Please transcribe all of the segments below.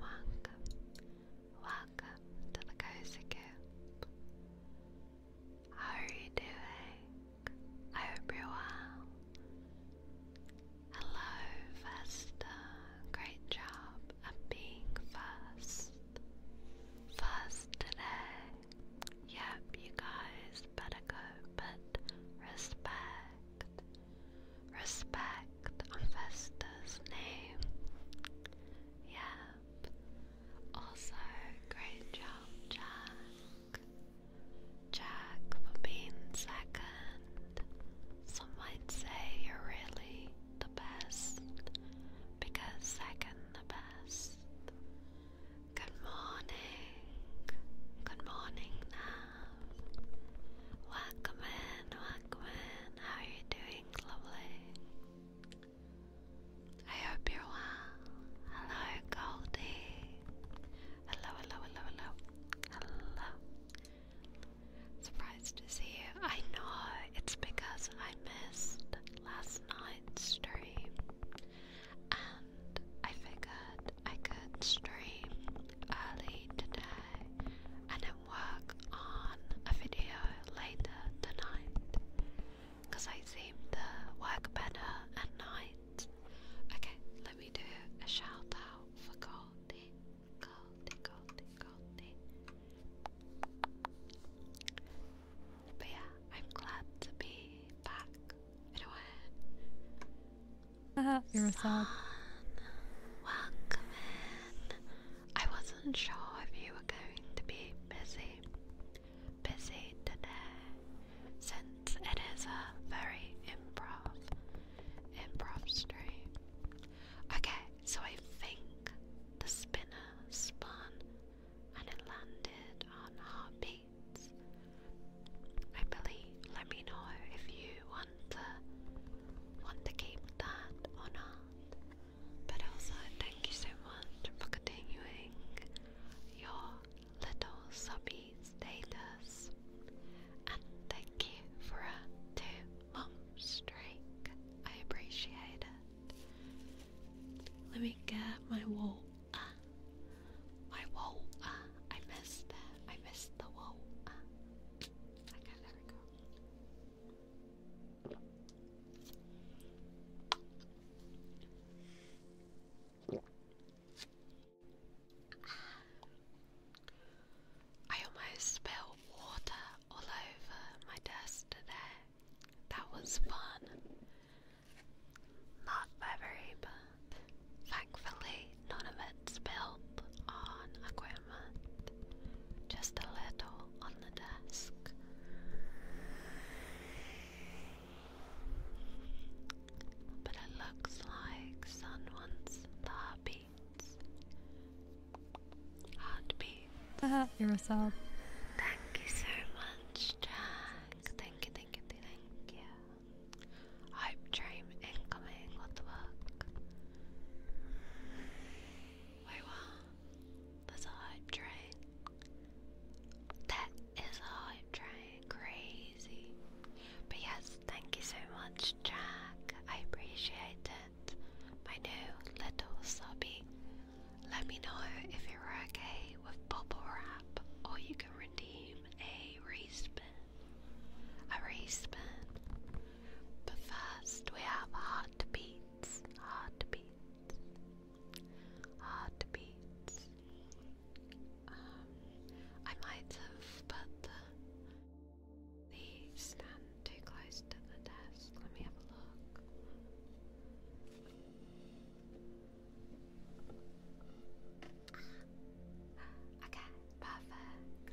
welcome, welcome to the Cozy Coop. How are you doing? I hope you're well. Hello, Vesta. Great job at being first. First today. Yep, you guys better go, but respect. Respect on name. Yep. Also, great job, Jack. Jack for being second. Some might say you're really the best because second the best. Good morning. Good morning Welcome in, welcome in. How are you doing? lovely. I hope you're well. Hello, Goldie. Hello, hello, hello, hello. Hello. Surprised to see you. I know it's because I missed last night's stream and I figured I could stream early today and work on a video later tonight because I seem to work better at night. Okay, let me do a shout for Goldie. Goldie, Goldie, Goldie. But yeah, I'm glad to be back. Anyway. You're Welcome I was I'm sure if you were going to be busy. Busy today, since it is a very improv, improv stream. Okay, so I think the spinner spun and it landed on heartbeats. I believe. Let me know if you want to want to keep that or not. But also, thank you so much for continuing your little subby status. And thank you for a two month streak. I appreciate it. Let me get my wall. my wall. I missed it. I missed the wall. Uh. Okay, there we go. I almost spilled water all over my desk there. That was fun. Not very, but thankfully none of it spilled on Aquarius just a little on the desk. But it looks like sun wants the heartbeats. Heartbeats. Ah, you're a sub. Thank you so much, Jack. Thank you, thank you, thank you. Hope dream incoming. What the fuck? Wait, what? That's a hype train. That is a hype train. Crazy. But yes, thank you so much, Jack. I appreciate it. My new little subby. Let me know if you're okay with bubble wrap or you can redeem a respin. A respin. But first we have a heart to beat heartbeats, heartbeats, heartbeats. Um, I might have put the stand too close to the desk. Let me have a look. Okay, perfect.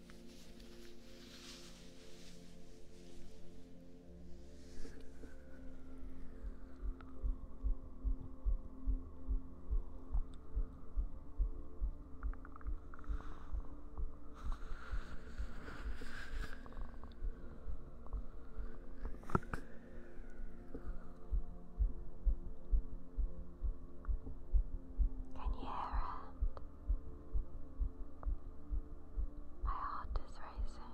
And yeah, my heart is racing.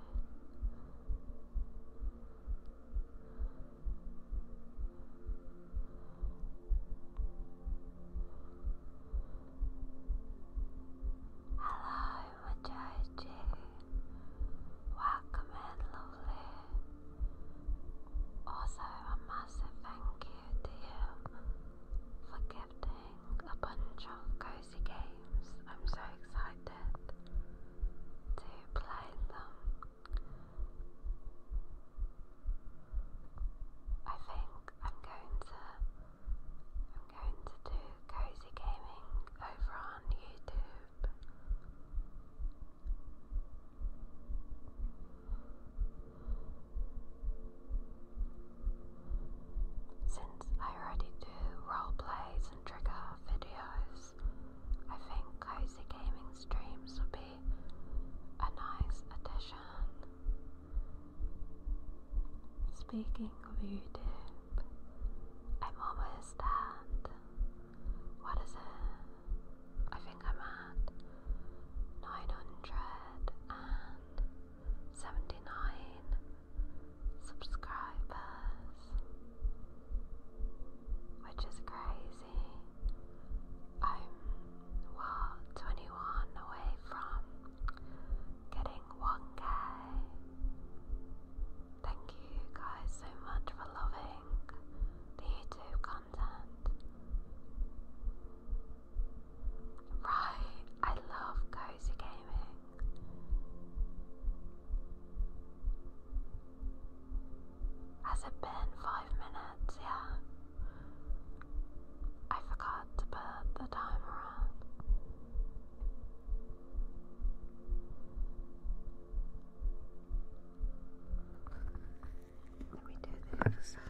Hello, Majoji. Welcome in, lovely. Also, a massive thank you to you for gifting a bunch of cozy games. I'm so excited to play them. I think I'm going to I'm going to do cozy gaming over on YouTube. Since I already do role plays and trigger videos, I think Cozy Gaming Streams would be a nice addition. Speaking of YouTube, I'm almost at what is it? I think I'm at nine hundred and 79 subscribers, which is crazy. I'm, what, 21 away from getting 1k. Thank you guys so much for loving the YouTube content. Right, I love cozy gaming. Has it been five minutes? Yeah. I forgot to put the timer on. Let me do the side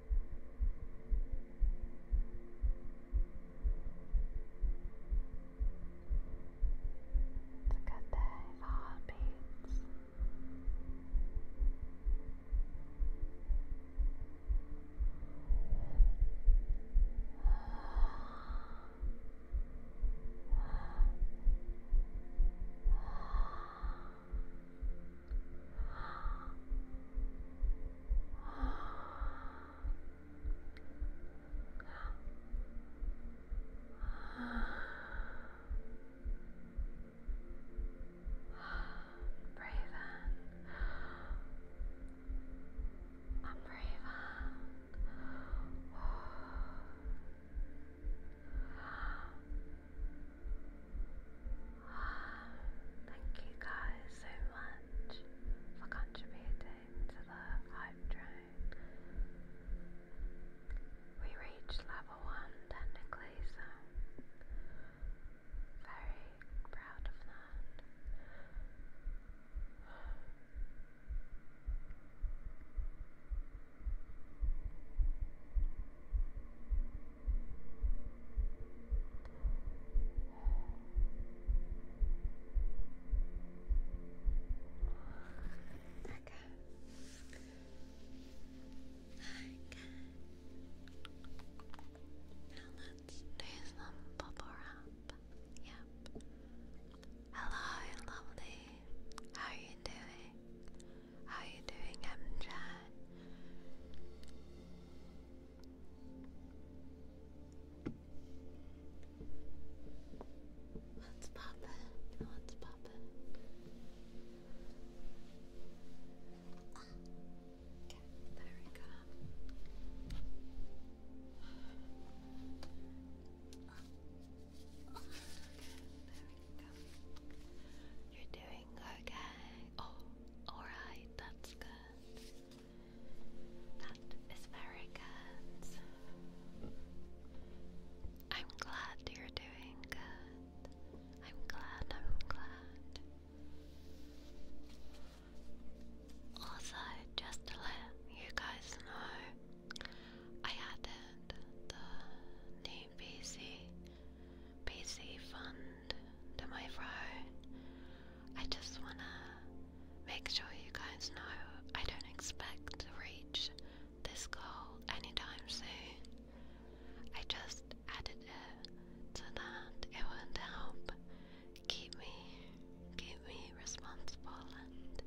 It's a good day for heartbeats. Raven. I'm Raven. Oh thank you guys so much for contributing to the hype We reached level 1 technically, so very proud of that. Now let's do some bubble wrap. Yep. Hello, lovely. How are you doing? How are you doing, MJ? What's poppin'? What's poppin'? Ah. Okay, there we go. there we go. You're doing okay. Oh, alright, that's good. That is very good. I'm glad you're doing good. I'm glad, I'm glad. Also, just to let you guys know, I added the name PC fund tomorrow. I just wanna make sure you guys know I don't expect to reach this goal anytime soon. I just added it so that it would help keep me keep me responsible and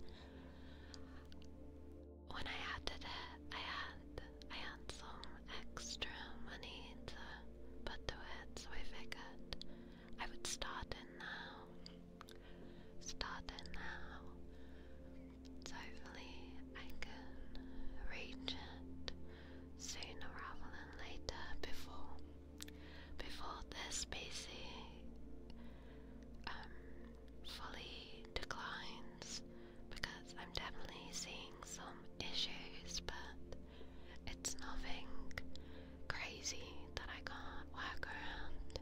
when I added it I had I had some extra money to put to it, so I figured I would start in now. Start in now. So hopefully I can reach it sooner rather than later before before this species um fully declines because I'm definitely seeing some issues but it's nothing crazy that I can't work around.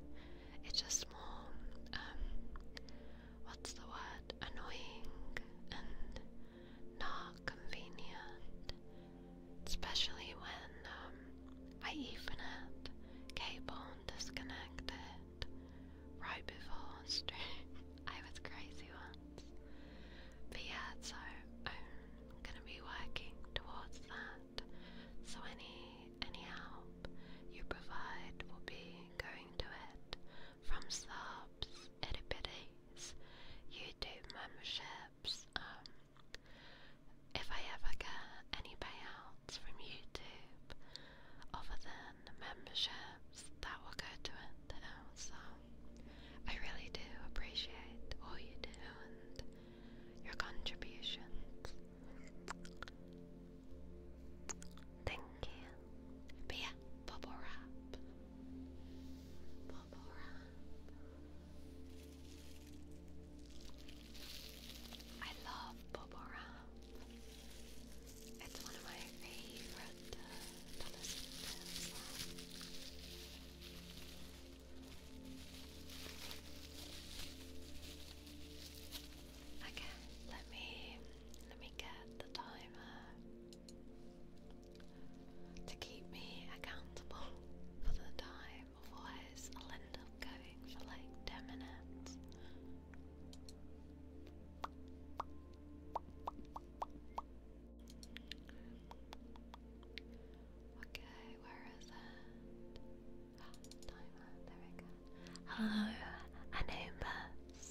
It's just more, um, what's the word? Annoying and not convenient. Especially when um, I even had cable disconnected right before I was crazy yeah, so I'm gonna be working towards that. So any any help you provide will be going to it from subs, edibiddies, YouTube memberships. Um, if I ever get any payouts from YouTube other than memberships, that will go to it. You know, I really do appreciate all you do and your contributions. Thank you. But yeah, bubble I love bubble It's one of my favorite but uh, let me let me get the timer to keep me accountable for the time, otherwise I'll end up going for like ten minutes. Okay, where is it? timer, there we go. Hello, Anubis.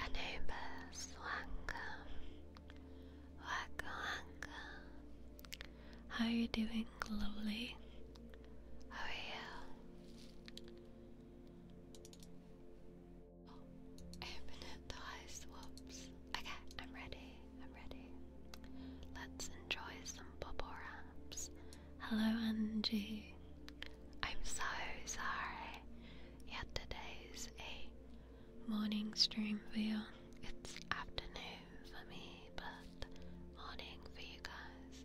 Anubis, Welcome, welcome. How are you doing, lovely? How are you? I open the highest whoops. Okay, I'm ready. I'm ready. Let's enjoy some bubble wraps. Hello, Angie. I'm so sorry. Yet today's a morning stream for you. It's afternoon for me, but morning for you guys.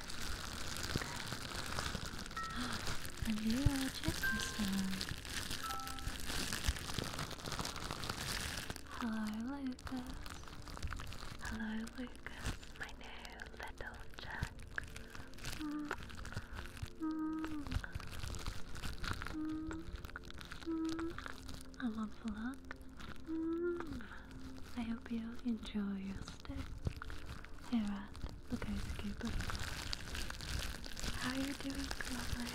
A little Christmas one. Hello, Lucas. Hello, Lucas, my new little Jack. Mm. Mm. Mm. I hope you enjoy your stay. Herat, the Gatekeeper. How are you doing, lovely?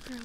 Super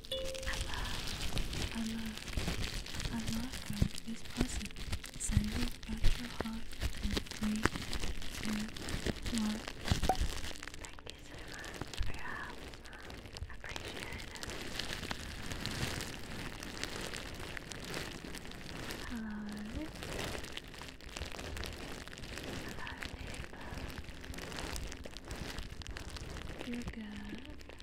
I love, I love, I love her. This person. Send it back your Thank you so much for your help. I appreciate it. Hello. Hello, people. You're good.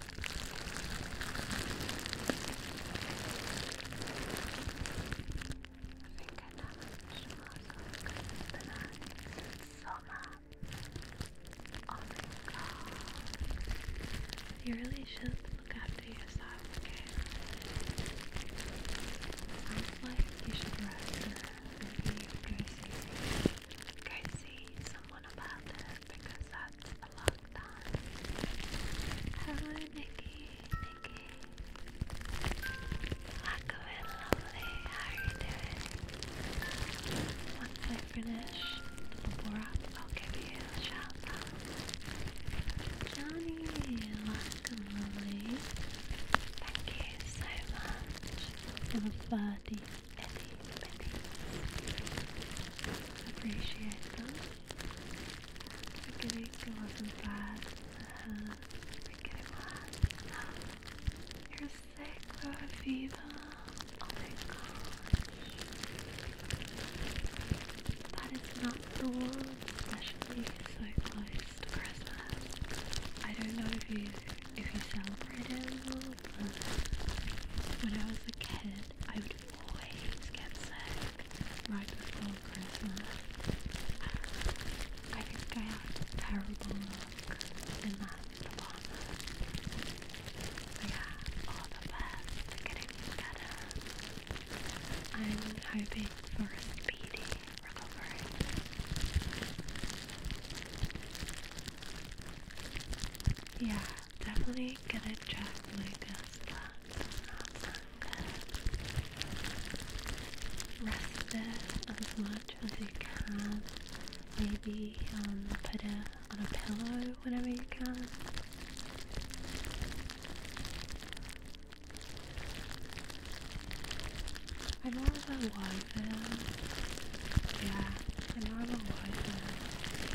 think I damaged most of the so much. You really should look after yourself, okay? Sounds like you should rest and maybe go see, go see someone about it because I talked a Nikki. Nikki. Laco and How are you Once I finish the board, I'll give you a shout Johnny, Laco lovely. Thank you so much for the party any pennies. Appreciate them. I think it wasn't bad. Uh You're sick, Viva. Oh my gosh. That is not the one, especially so close to Christmas. I don't know if you if you celebrate it but when I was a kid, I would always get sick right before Christmas. I think I had terrible luck in that department. Yeah, all the best getting better. I'm hoping for a speedy recovery. Yeah, definitely gonna check Lucas. That's not sound Rest as much as you can. Maybe um, put it on a pillow whenever you can. I know I'm a Yeah, I know I'm a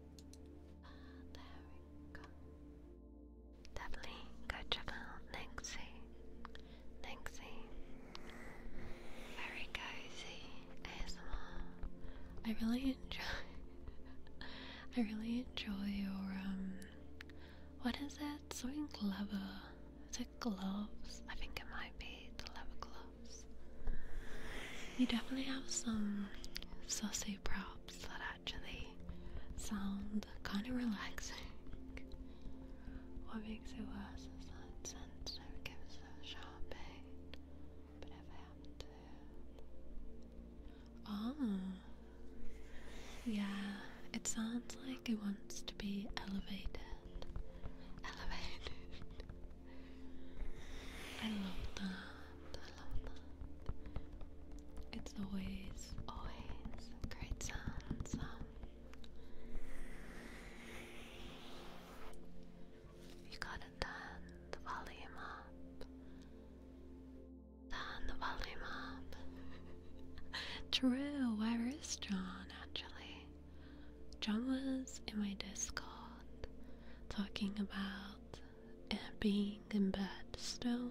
Ah, there we go. Lovely. Very cozy ASMR. I really enjoy. I really enjoy your um. What is it? Something clever. Is it gloves? I think it might be the leather gloves. You definitely have some sassy props that actually sound kind of relaxing. What makes it worse is that sensitive gives a sharp but if I happen ah. yeah, it sounds like it wants to be elevated. Elevated. I love that. It's always, always great sounds. Um, you gotta turn the volume up. Turn the volume up. True, was John actually? John was in my Discord talking about and being in bed still.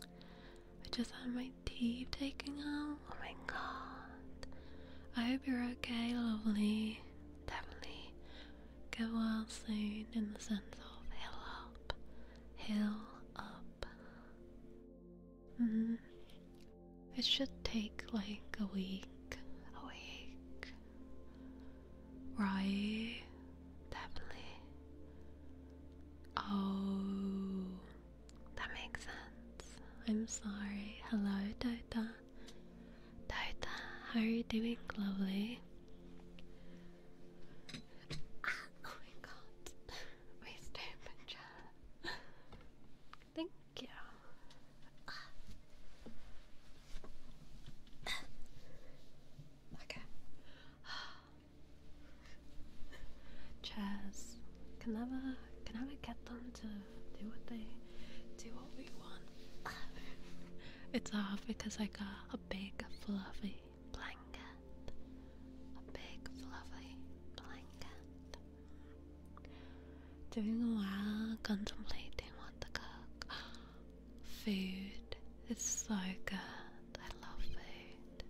I just had my teeth taken out. Oh my god. I hope you're okay, lovely. Definitely get well soon in the sense of heal up. Heal up. Mm-hmm. It should take like a week. A week right? Definitely. Oh, that makes sense. I'm sorry. Hello, Dota. Dota, how are you doing, lovely? oh my god. we stupid Thank you. Okay. Chairs can never can never get them to do what they do what we want. it's hard because I got a big fluffy blanket. A big fluffy blanket. Doing a while contemplating what to cook. Food its so good. I love food.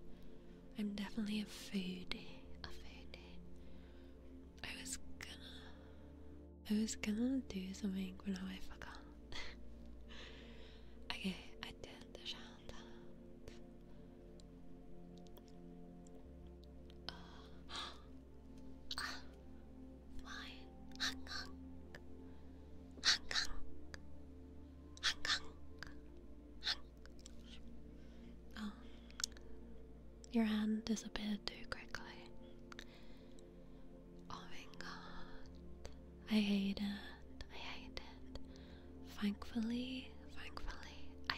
I'm definitely a foodie. A foodie. I was gonna. I was gonna do something, but now I forgot. okay, I did the shout flying. Hong Kong. Hong Kong. Your hand disappeared too quickly. Oh my god. I hate it. I hate it. Thankfully, thankfully, I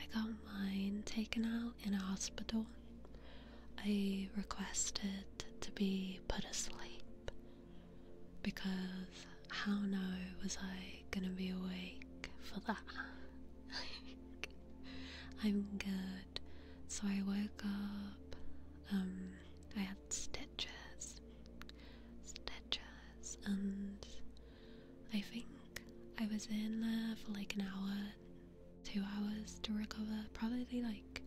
I got mine taken out in a hospital. I requested to be put asleep because how now was I gonna be awake for that? I'm good. So I woke up, um, I had stitches, stitches, and I think I was in there for like an hour, two hours to recover, probably like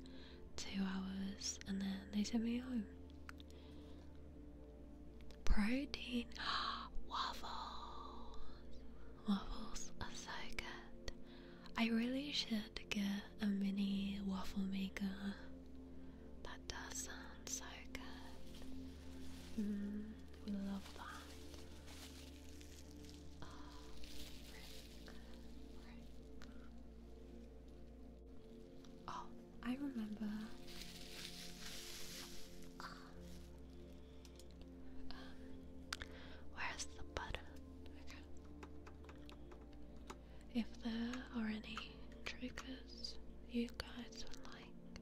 two hours, and then they sent me home. Protein waffles. Waffles are so good. I really should get a mini waffle maker. That does sound so good. we mm, love that. Oh, Oh, I remember. Um, where's the button? Okay. If there are any triggers you guys would like,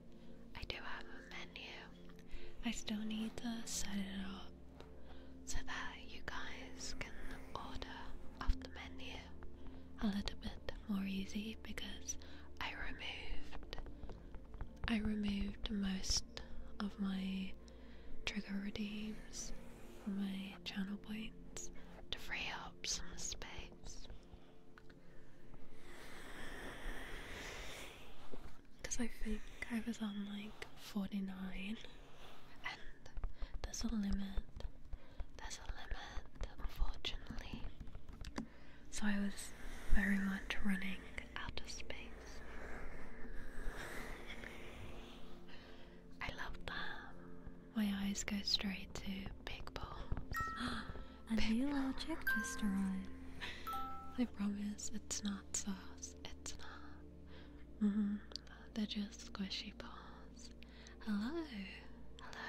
I do have a menu. I still need to set it up so that you guys can order of the menu a little bit more easy because I removed I removed most of my trigger redeems from my channel points to free up some space. Because I think I was on like 49 there's a limit. There's a limit, unfortunately. So I was very much running out of space. I love that. My eyes go straight to big balls. A big new object just arrived. I promise it's not sauce. It's not. Mm-hmm. They're just squishy balls. Hello, hello,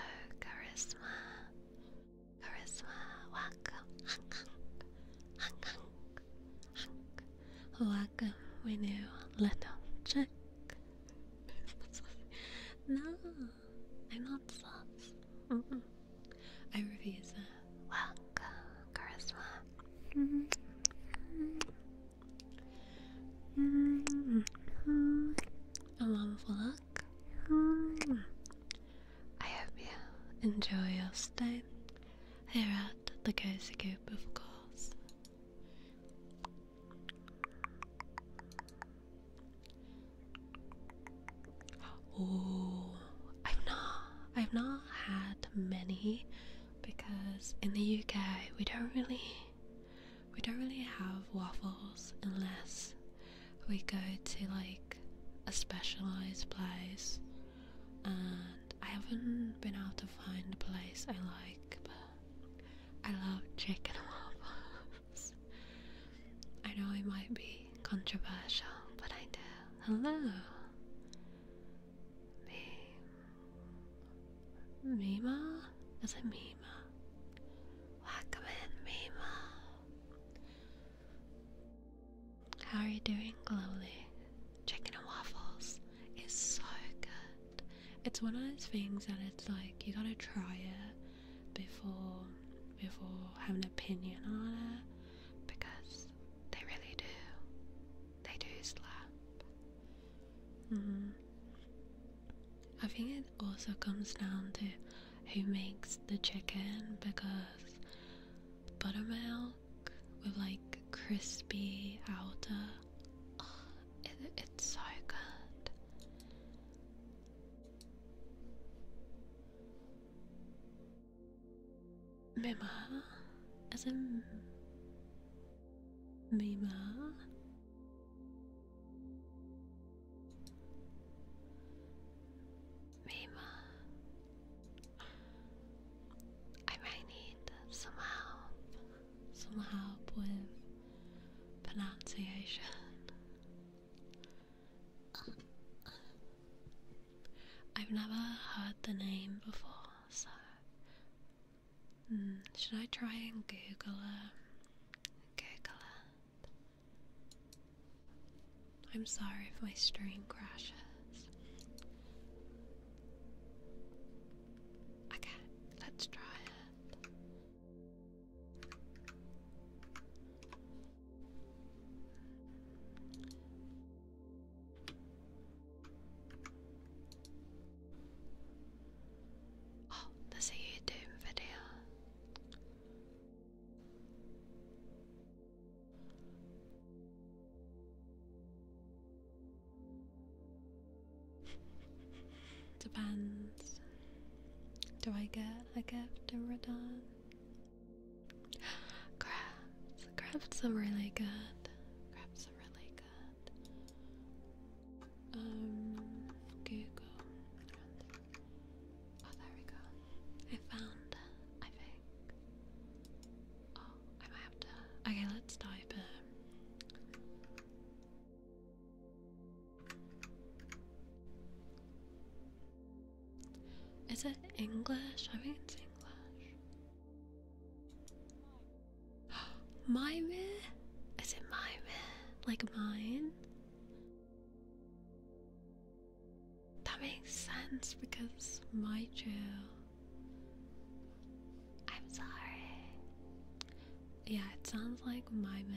Charisma. Charisma, welcome. Welcome, we new little chick. no, I'm not sus. Mm -mm. I refuse that. Welcome, Charisma. Mm -hmm. Mm-hmm. A wonderful luck. Mm-hmm. I hope you enjoy your stay here at the Cozy Coop, of course. Oh, I've not, I've not had many because in the UK we don't really we don't really have waffles unless we go to like a specialized place and I haven't been able to find a place I like but I love chicken waffles. I know it might be controversial but I do. Hello Mima? Is a Mima? Welcome in, Mima. How are you doing, Glowly? Chicken and waffles is so good. It's one of those things that it's like you gotta try it before before having an opinion on it because they really do. They do slap. Mm-hmm. I think it also comes down to who makes the chicken because buttermilk with like crispy outer, oh, it's so good. Mima, as in Mima. Mima. I might need some help. Some help with pronunciation. I've never heard the name before, so Mm, should I try and Google her? Um, Google her. I'm sorry if my stream crashes. Okay, let's try it. Oh, there's a YouTube video. Depends. Do I get a gift in return? Crafts. Crafts are really good. Crafts are really um, Google. Oh, there we go. I found I think. Oh, I might have to. Okay, let's type it. Um, is it English? I mean, it's English. My Mime? Is it my mime? Like mine? That makes sense because my Joe. I'm sorry. Yeah, it sounds like my Mime.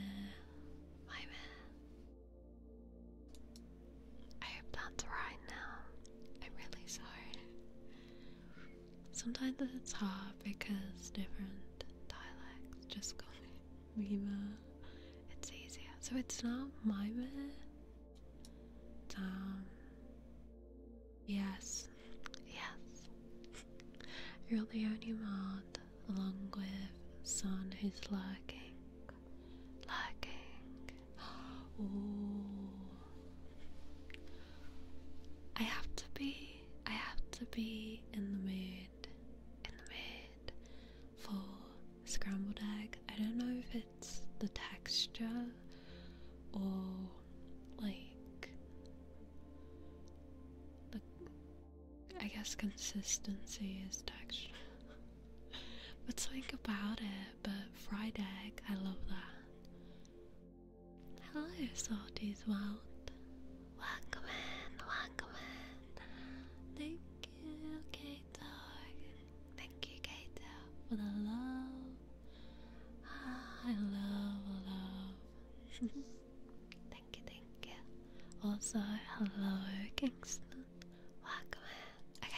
I hope that's right now. I'm really sorry. Sometimes it's hard because different dialects just go. me It's easier. So it's not Mima. Um, yes, yes. You're the only one along with Son, who's lurking. Lurking. Ooh. I have to be I have to be in the mood, in the mood for scrambled egg. I don't know if it's the texture or like the I guess consistency is texture. but think about it, but fried egg, I love that. Hello, Salty's World. Welcome in, welcome in. Thank you, Kato. Thank you, Kato, for the love. Ah, I love, love. thank you, thank you. Also, hello, Kingston. Welcome in. Okay,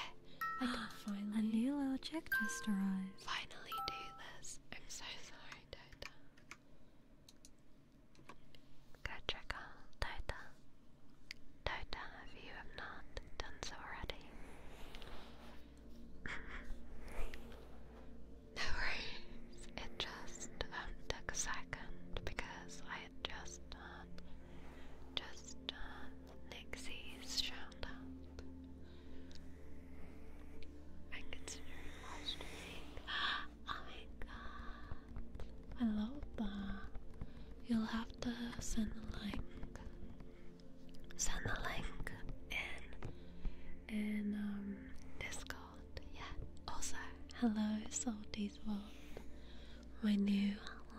I can finally. A new little check just arrived. Finally, do this. I'm so sorry, Dota. Go check out Dota. Dota, if you have not done so already. no worries, it just um, took a second because I had just done, um, just done uh, Nixie's shout out. I consider it moisturizing. Oh my god. I love that. You'll have to send the link. Send the link in in um Discord. Yeah. Also, hello Salty's World. My new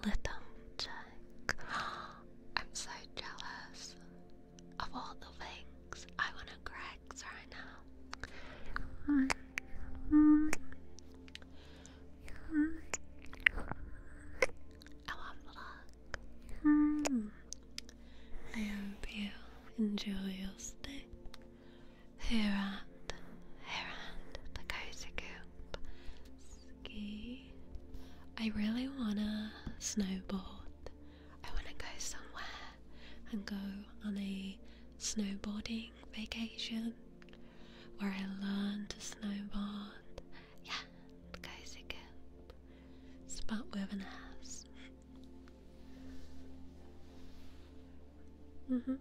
little check. I'm so jealous. Of all the things, I want to Greg's right now. I want vlog. I hope you enjoy your stay here at, here at the Cozy Coop Ski. I really wanna snowboard I want to go somewhere and go on a snowboarding vacation where I learn to snowboard. Yeah, guys, again. Spot with an ass. Mm hmm.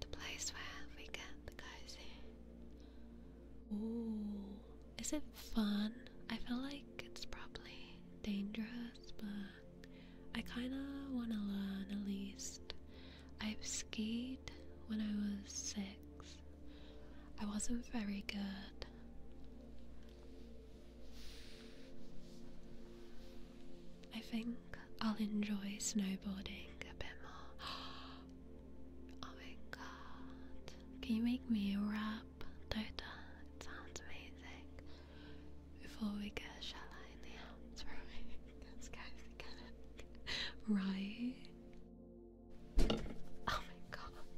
The place where we get the cozy. is it fun? I feel like it's probably dangerous, but I kind of want to learn at least. I've skied when I was six. I wasn't very good. I think I'll enjoy snowboarding a bit more. Oh my god. Can you make me a wrap, Dota? sounds amazing before we get a shot in the hounds roaring. Those guys are kind of right. Oh my god.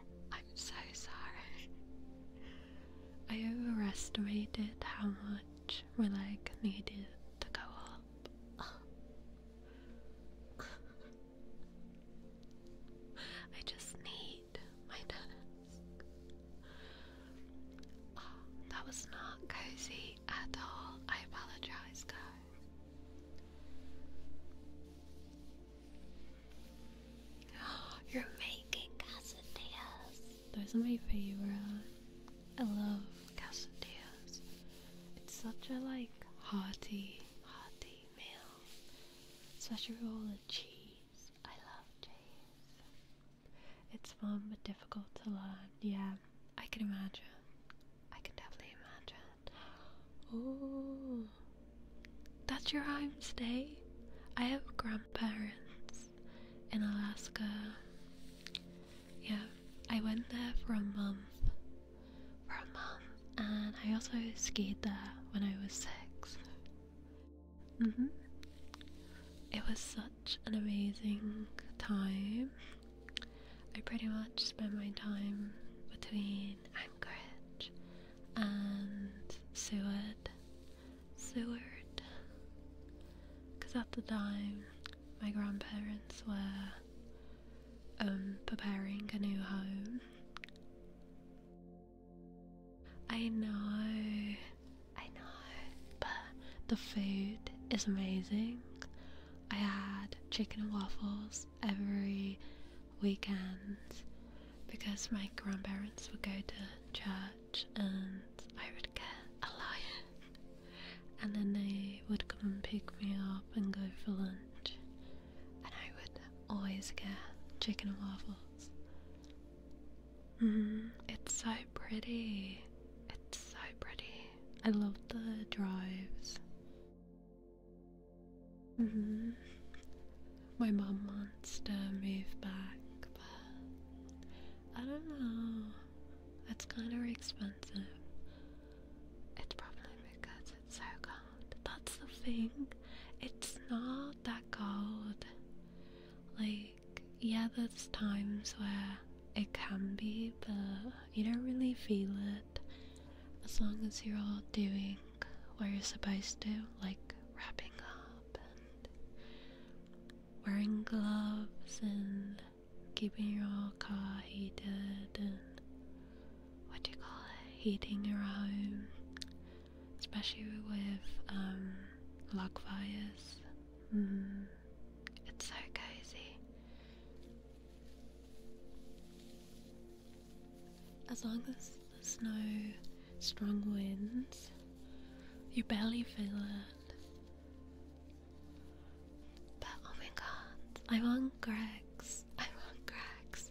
I'm so sorry. I overestimated how much we like needed to go up. I just need my task. Oh, that was not cozy at all. I apologize, guys. you're making quesadillas. Those are my favorite. I love quesadillas. It's such a like hearty, hearty meal, especially with cheese. I love Jays. It's fun but difficult to learn. Yeah, I can imagine. I can definitely imagine. Oh, that's your home state? I have grandparents in Alaska. Yeah, I went there for a month. For a month, and I also skied there when I was six. Mm-hmm. It was such an amazing time. I pretty much spent my time between Anchorage and Seward. Seward. Because at the time, my grandparents were um, preparing a new home. I know, I know, but the food is amazing. I had chicken and waffles every weekend because my grandparents would go to church and I would get a lion and then they would come and pick me up and go for lunch and I would always get chicken and waffles Mm-hmm. it's so pretty. It's so pretty. I love the drives. Mm-hmm. My mum wants to move back, but I don't know. It's kind of expensive. It's probably because it's so cold. That's the thing. It's not that cold. Like, yeah, there's times where it can be, but you don't really feel it as long as you're all doing what you're supposed to, like wrapping up and wearing gloves and keeping your car heated and what do you call it, heating your home especially with um, lockfires, mm. it's so cozy. As long as there's no strong winds, you barely feel it. But oh my god, I want Greg's. I want Greg's.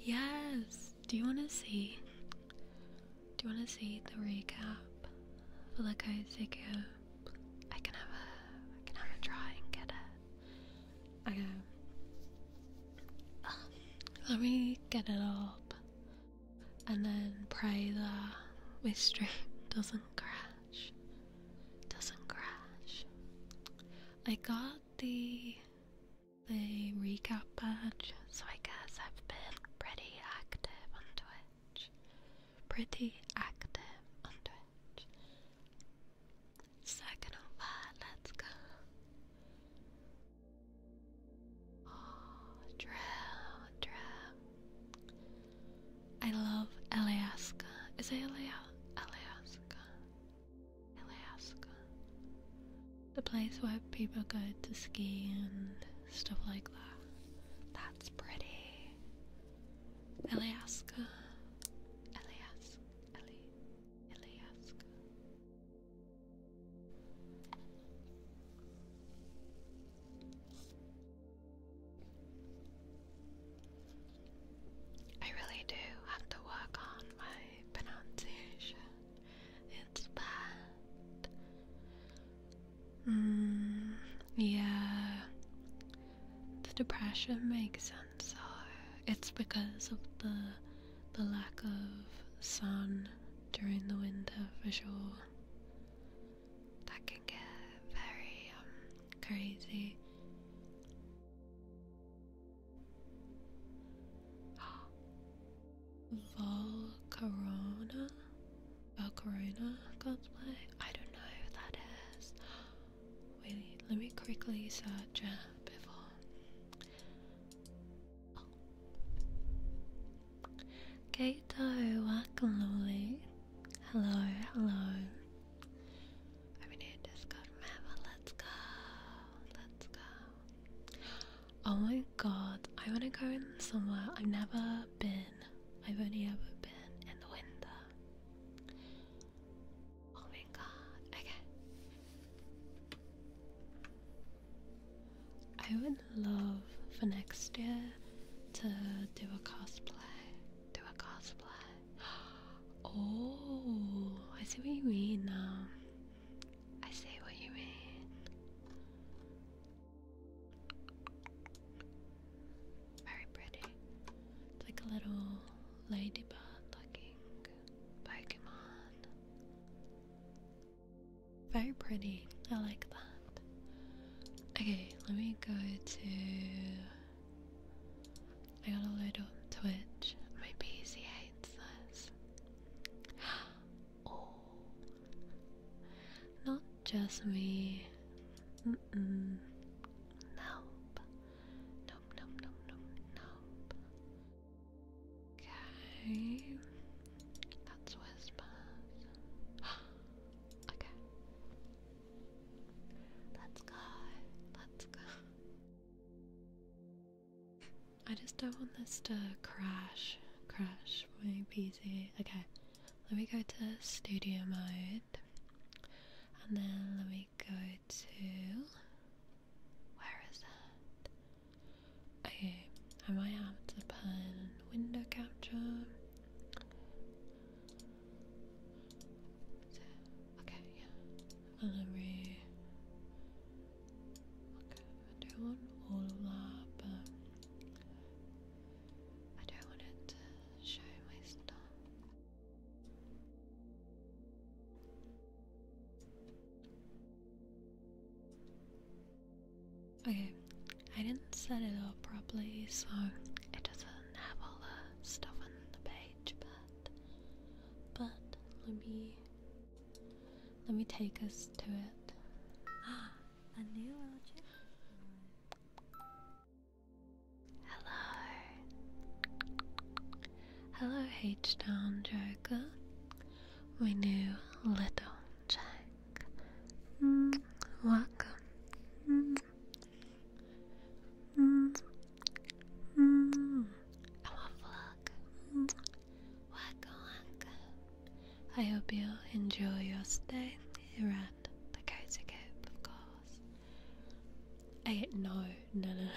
Yes! Do you want to see? Do you want to see the recap for the code figure? I can have a, I can have a try and get it. Okay. Um, let me get it up and then pray the mystery doesn't crash. Doesn't crash. I got the the recap badge, so I guess I've been pretty active on Twitch. Pretty active on Twitch. Second of all, let's go. Oh, Drew, I love Alaska. Is it Alaska? Alaska. Alaska the place where people go to ski and stuff like that. That's pretty. Alaska. Alaska. I really do have to work on my pronunciation. It's bad. Mm, yeah. The depression makes sense. Uh, it's because of the the lack of sun during the winter for sure. That can get very um, crazy. Oh. Volcarona? Valcarona play. I don't know who that is. Wait, let me quickly search before. Oh. welcome, Wakaloli. Hello, hello. I'm Discord Let's go. Let's go. Oh my god, I want to go in the I've never been. I've only ever been in the winter. Oh my god, okay. I would love for next year to do a cosplay. Do a cosplay. Oh, I see what you mean now. I see what you mean. Very pretty. It's like a little ladybird looking Pokemon. Very pretty. I like that. Okay, let me go to. I gotta load up Twitch. Maybe he hates this. all. Not just me. Mm -mm. Nope. Nope, nope, Okay. That's whispers. okay. Let's go. Let's go. I just don't want this to crash, crash my PC. Okay, let me go to studio mode, and then let me go to where is that? Okay, I might have to put window capture. Okay, yeah, and then I don't want all of that, but I don't want it to show my stuff. Okay, I didn't set it up properly, so it doesn't have all the stuff on the page, but but let me let me take us to it. A new logic? Hello. Hello, H Town Joker. We knew little Jack. Mm. welcome. I want to vlog. Mm. I hope you enjoy your stay here at the Cozy Cape, of course. I no, no, no,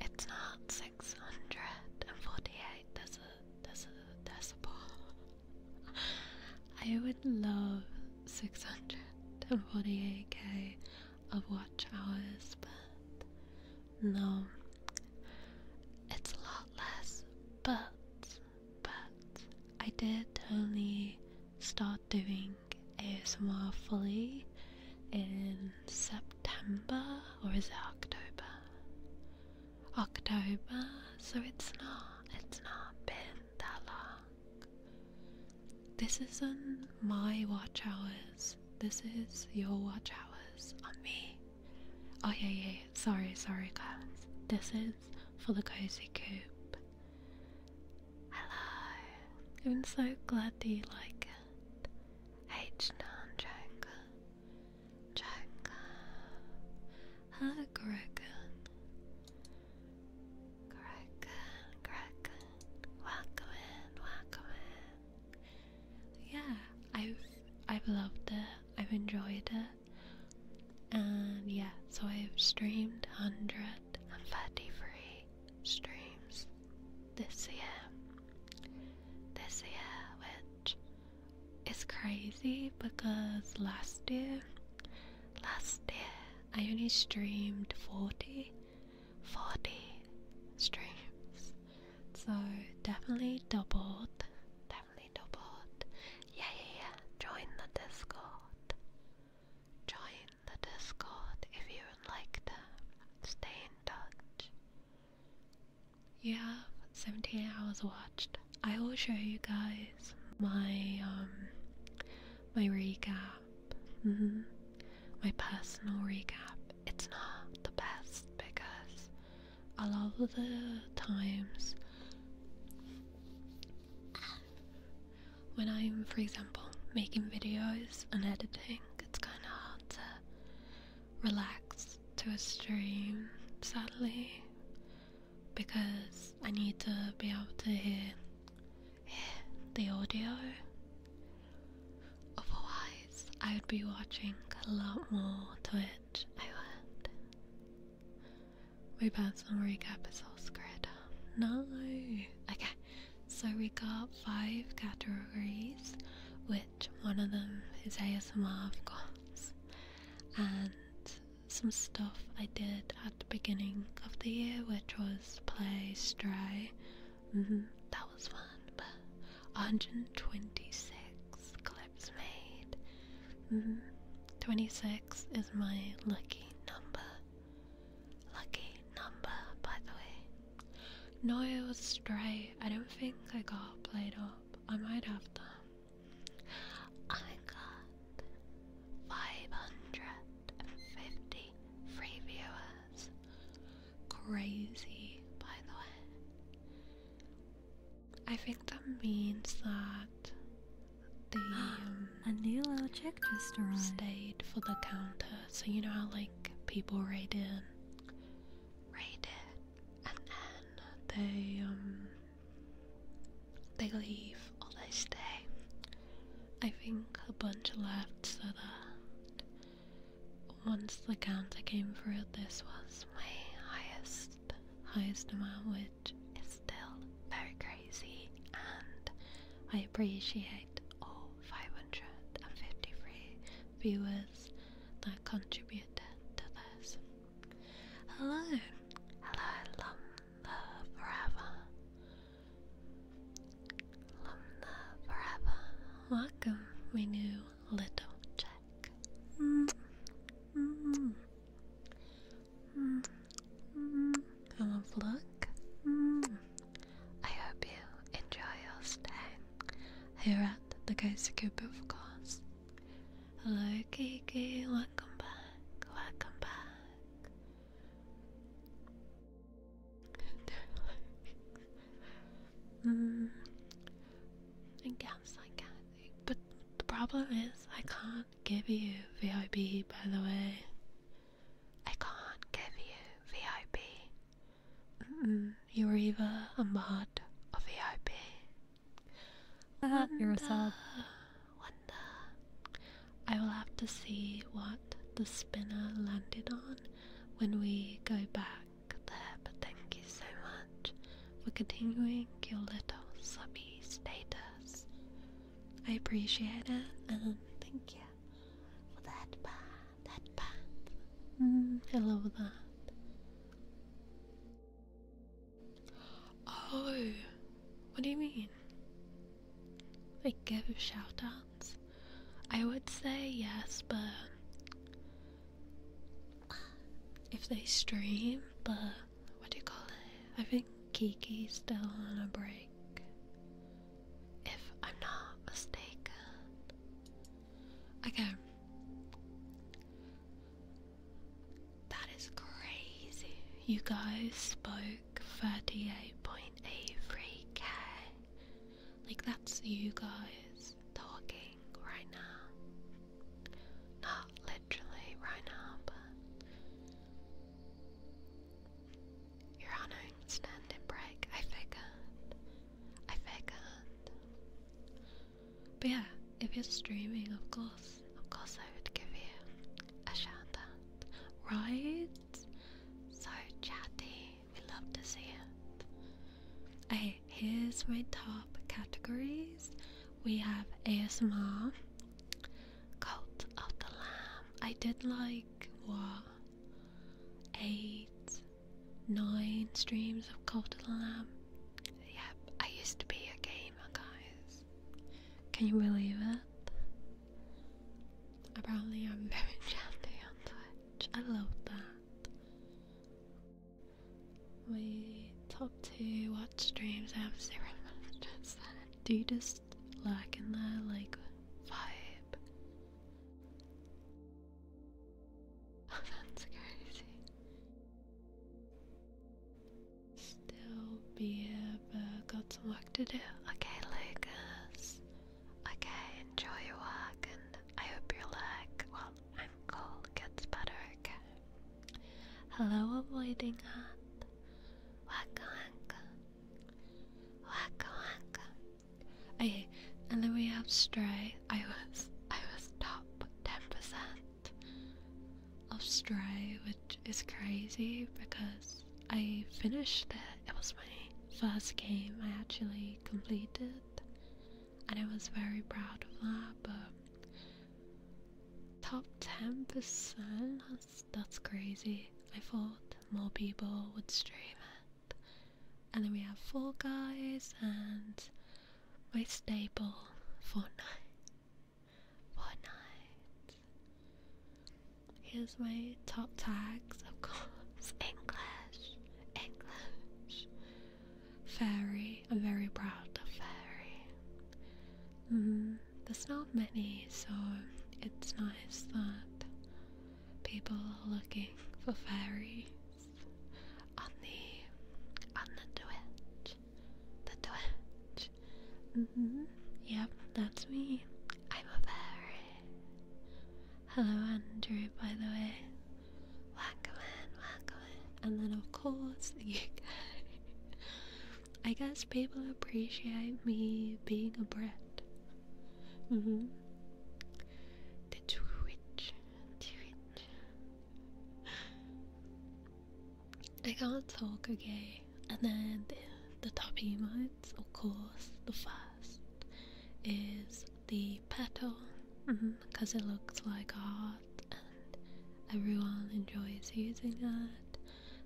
it's not 648 That's a, that's a decibel. I would love 648k of watch hours, but no, it's a lot less. But, but, I did only start doing ASMR fully in September or is it October? October, so it's not, it's not been that long. This isn't my watch hours, this is your watch hours on me. Oh yeah, yeah, Sorry, sorry guys. This is for the cozy coop. Hello. I'm so glad that you like it. H 9 Joker. Joker. Hello, Gregan. Gregan, Gregan. Welcome in, welcome in. Yeah, I've I've loved it. I've enjoyed it. And yeah, so I've streamed 153 streams this year. This year, which is crazy because last year, last year, I only streamed 40. 40 streams. So definitely doubled that lovely Dobot. Yeah, yeah, yeah. Join the Discord. Join the Discord if you would like to stay in touch. You have 17 hours watched. I will show you guys my um my recap. Mm -hmm. My personal recap. It's not the best because a lot of the times when I'm, for example, making videos and editing, it's kind of hard to relax to a stream, sadly, because I need to be able to hear, hear the audio. Otherwise, I would be watching a lot more Twitch, I would. We My personal recap It's all screwed up. No. Okay, so we got five categories, which one of them is ASMR, of course, and some stuff I did at the beginning of the year, which was play Stray. Mm-hmm. that was fun, but 126 clips. Mm-hmm. 26 is my lucky number. Lucky number, by the way. No, I was straight. I don't think I got played up. I might have done. I got 550 free viewers. Crazy, by the way. I think that means that the um, a new little chick just arrived. Stayed for the counter, so you know how like people raid in, raid in, and then they um they leave or they stay. I think a bunch left, so that once the counter came through, this was my highest next highest amount, which is still very crazy, and I appreciate all 553 viewers that contributed to this. Hello, hello, Lumna Forever. Lumna Forever, welcome, my new little check. Mm -hmm. Mm -hmm. Mm -hmm. hmm. hmm. a look. Hmm. I hope you enjoy your stay here at the Ghost Cube, Hello, Kiki. Welcome back. Welcome back. mm. Yeah, but the problem is I can't give you VIP. by the way. I can't give you VIP. Mm -mm, you're either a mod or VIP. Uh, you're a sub. Wonder. I will have to see what the spinner landed on when we go back there, but thank you so much for continuing your little subby status. I appreciate it and thank you for that part, that part. Mm, I love that. Oh, what do you mean? They give shout outs? I would say yes, but if they stream, but what do you call it? I think Kiki's still on a break. If I'm not mistaken. Okay. That is crazy. You guys spoke 38.83k. Like, that's you guys talking right now. Not literally right now, but you're on an extended break. I figured. I figured. But yeah, if you're streaming, of course, of course, I would give you a shout right? So chatty, we love to see it. Hey, here's my top categories we have ASMR, Cult of the Lamb. I did like what eight, nine streams of Cult of the Lamb. Yep, I used to be a gamer, guys. Can you believe it? Apparently, I'm very chatty on Twitch. I love that. We top to watch streams have zero messages. Do you just lack in the like vibe? that's crazy. Still be but got some work to do. Okay, Lucas. Okay, enjoy your work, and I hope your leg, well, ankle gets better. Okay. Hello, avoiding heart. Waka waka. Waka waka. Okay, and then we have Stray. I was I was top ten percent of Stray, which is crazy because I finished it. It was my first game I actually completed, and I was very proud of that. But Top 10%? That's, that's crazy. I thought more people would stream it. And then we have four Guys and my staple, Fortnite. Fortnite. Here's my top tags, of course. English. English. Fairy. I'm very proud of Fairy. Mm-hmm. there's not many, so it's nice that people are looking for fairies on the on the Twitch. The Twitch. Mm-hmm. Yep, that's me. I'm a fairy. Hello, Andrew. By the way, welcome in. Welcome and then of course I guess people appreciate me being a brat. Mm-hmm. The Twitch. Twitch. I can't talk again. And then the, the top emotes, of course, the first is the petal because mm-hmm, it looks like a heart and everyone enjoys using it.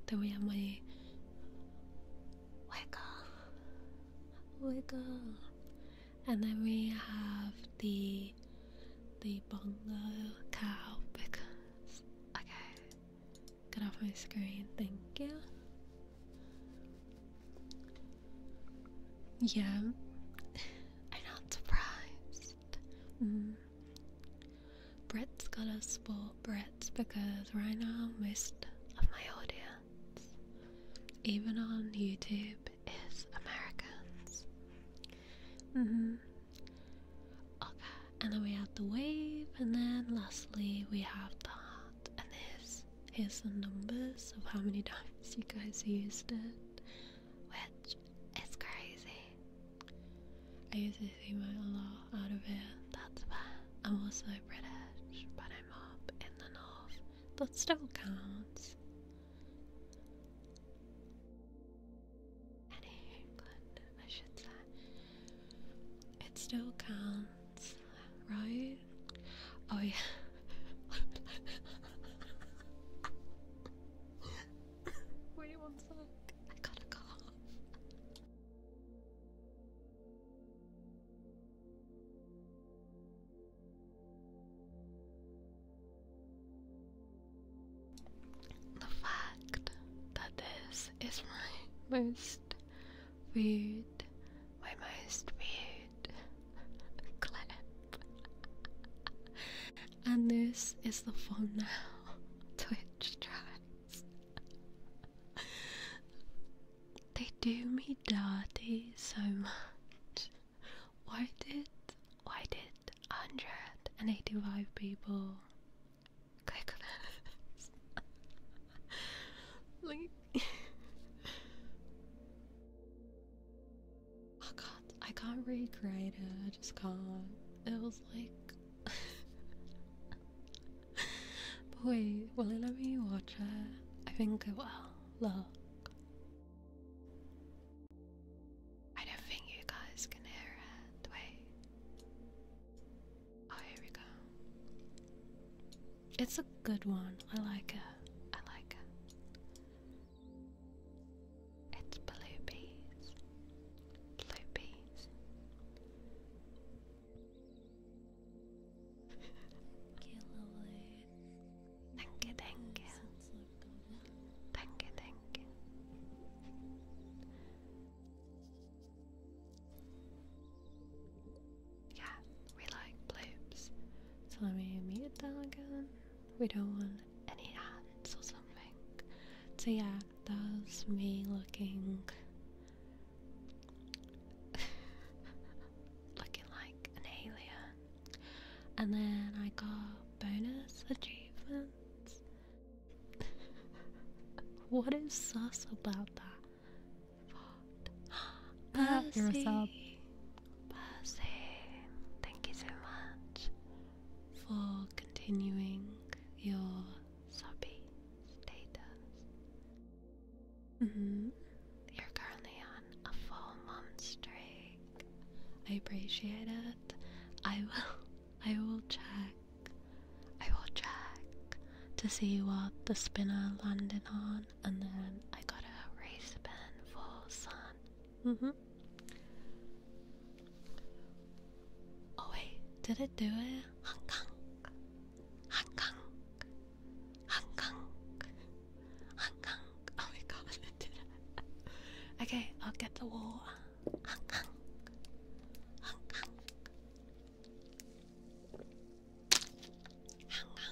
Then we have my wiggle, wiggle, and then we have the the bongo cow because okay, get off my screen. Thank you. Yeah, I'm not surprised. Mm. Brits gotta support Brits because right now most of my audience, even on YouTube, is Americans. Mm-hmm. Okay, and then we have the wave, and then lastly we have the heart, and there's here's the numbers of how many times you guys used it which is crazy. I used to see my law out of here. That's fair. I'm also British, but I'm up in the north. That still counts. Any England, I should say. It still counts, right? Oh yeah. Wait one sec. I got a cough. The fact that this is my most weird, my most weird clip And this is the fun now Twitch tries. they do me dirty so much. Why did why did 185 people click on this? like I can't I can't recreate it, I just can't. It was like Boy, will it let me watch it? I think it will. Look. I don't think you guys can hear it. Wait. Oh, here we go. It's a good one. I like it. I like it. It's blue peas. Blue peas. thank you, thank you. Thank you, thank you. Yeah, we like bloops. So let me mute that again. We don't want any ads or something. So yeah, that me looking looking like an alien. And then I got bonus achievements. what is sus about that? What? Percy. thank you so much for continuing your sobby status. Mm-hmm. You're currently on a full month streak. I appreciate it. I will I will check. I will check to see what the spinner landed on and then I got to raise the pen for sun Mm-hmm. Oh wait, did it do it? Hong Kong. Hong Kong. Hong Kong. Hong Kong. Oh my god, did it. okay, I'll get the wall. Hong Kong. Hong Kong. Hong Kong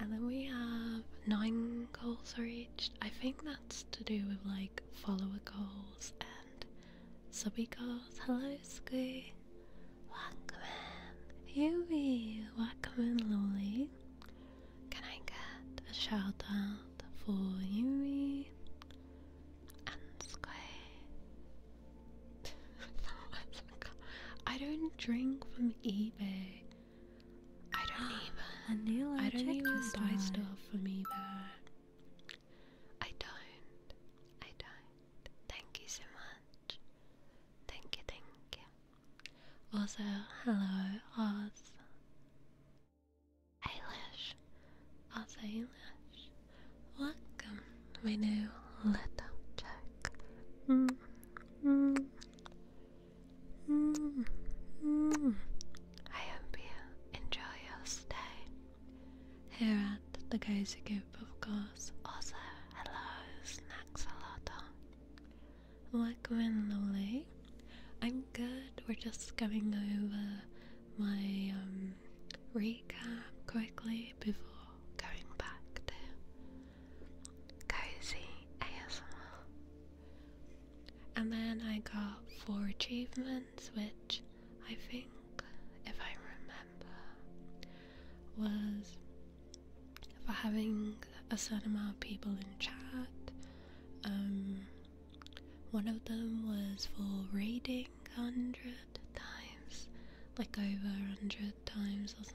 and then we have nine goals reached. I think that's to do with like follower goals and subby goals. Hello, Squee. Welcome in. Yumi, welcome Lolly. Can I get a shout out for Yumi and Squee? I don't drink from eBay. I don't even. I, I don't even buy stuff for me, but I don't. I don't. Thank you so much. Thank you, thank you. Also, hello, Oz. Eilish. Oz Eilish. Welcome to my new little check. Mm -hmm. I hope you enjoy your stay here at the Cozy Coop, of course. Also, hello, snacks a lot on. Welcome in, lovely. I'm good. We're just going over my um, recap quickly before going back to Cozy ASMR. And then I got four achievements, which I think, if I remember, was for having a certain amount of people in chat. Um, one of them was for reading hundred times, like over a hundred times or something.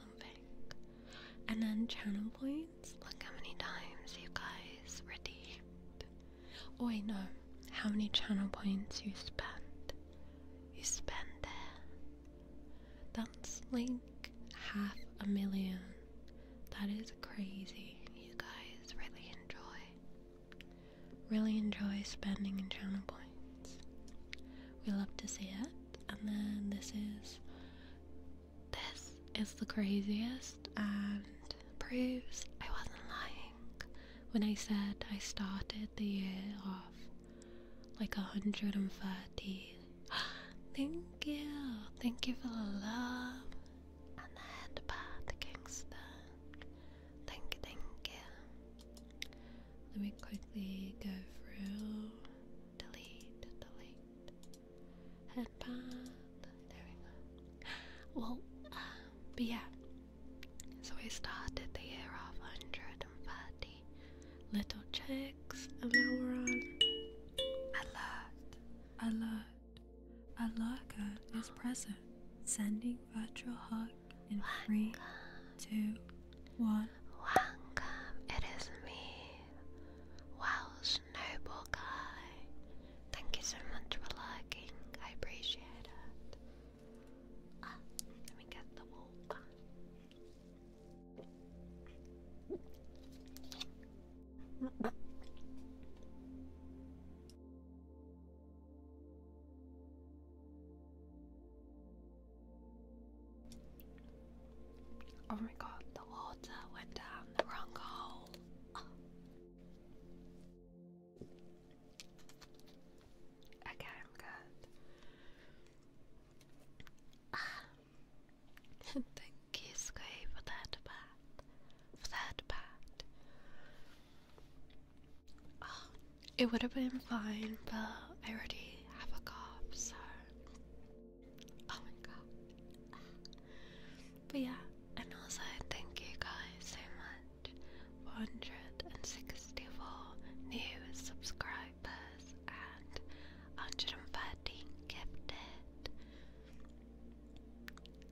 And then channel points. Look how many times you guys redeemed. Oh, wait, no. How many channel points you spent. You spent there. That's like half a million. That is crazy. You guys really enjoy. Really enjoy spending in channel points. We love to see it and then this is this is the craziest and proves I wasn't lying when I said I started the year off like 130. thank you, thank you for the love and the headbutt, Kingston. Thank you, thank you. Let me quickly go through delete, delete. There we go. Well, uh, but yeah. So we started the year off 130 little chicks, and now we're on alert, alert, alert is present. Sending virtual hug in Welcome. three, two, Welcome, it is me, Welsh Noble Guy. Thank you so much for liking, I appreciate it. Ah, let me get the walk. Oh my god, the water went down the wrong hole. Okay, I'm good. Ah. Thank you, Squee, for that part. For that bat. Ah, it would have been fine, but I already have a cough, so Oh my god. But yeah, and also thank you guys so much. 164 new subscribers and 113 gifted.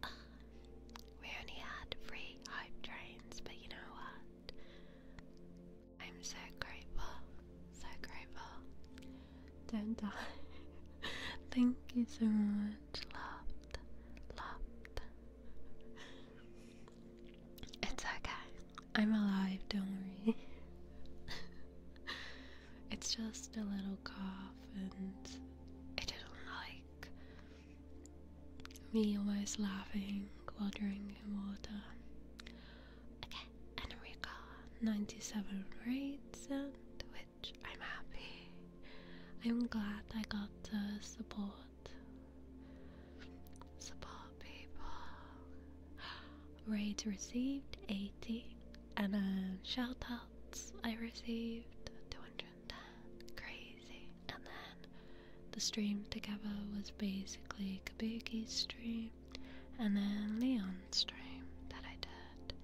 Uh, we only had three hype trains, but you know what? I'm so grateful, so grateful. Don't die. Thank you so much. Loved, loved. It's okay. I'm alive, don't worry. it's just a little cough, and I didn't like me almost laughing while drinking water. Okay, and we got 97 rates and which I'm happy. I'm glad I got the support. Support people. Raid received 80 and then shout outs I received 210. Crazy. And then the stream together was basically Kabuki's stream and then Leon's stream that I did.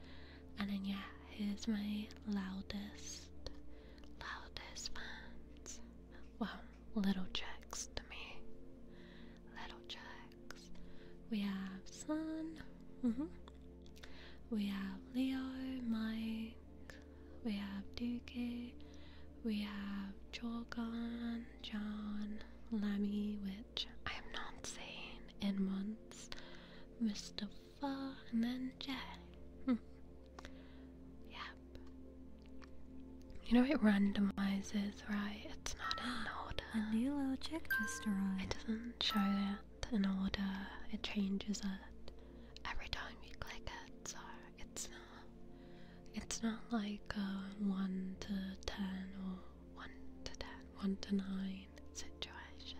And then, yeah, here's my loudest, loudest fans. Well, little checks to me. Little checks. We have Sun. Mm-hmm. We have Leo, Mike. We have Dookie. We have Jorgon, John, Lemmy with I am not saying in months. Mr. Fa and then J. Hmm. You know it randomizes, right? It's not in order. A new little chick just arrived. It doesn't show it in order. It changes it every time you click it, so it's not. It's not like uh, one to ten or 1 to 10, to 9 situation.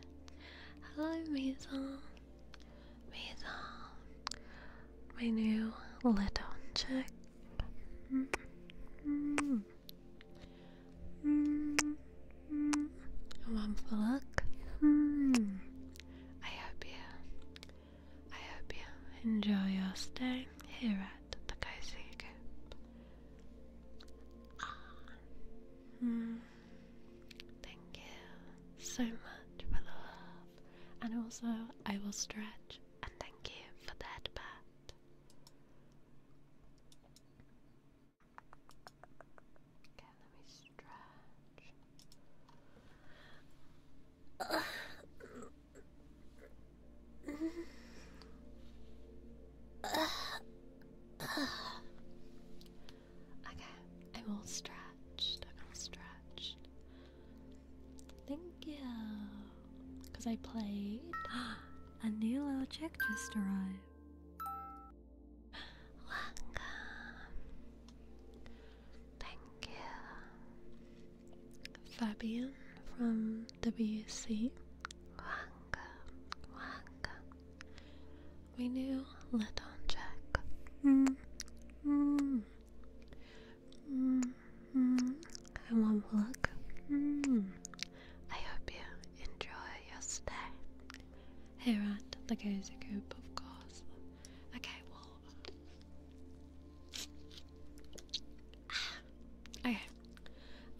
Hello, Maison. Maison. My new little chick. Mm A wonderful look. I hope you. I hope you enjoy your stay here at Takaise Group. Ah. Hmm. Thank you so much for the love. And also, I will stretch. And thank you for that part. Okay, let me stretch. okay, I'm all stretched. I'm all stretched. Thank you. Because I played. A new little just arrived. Welcome. Thank you. Fabian from WC Wanga Wanga. We knew let on check. Mm, mm, mm, I want look. I hope you enjoy your stay. here at the cozy coop, of course. Okay, well okay.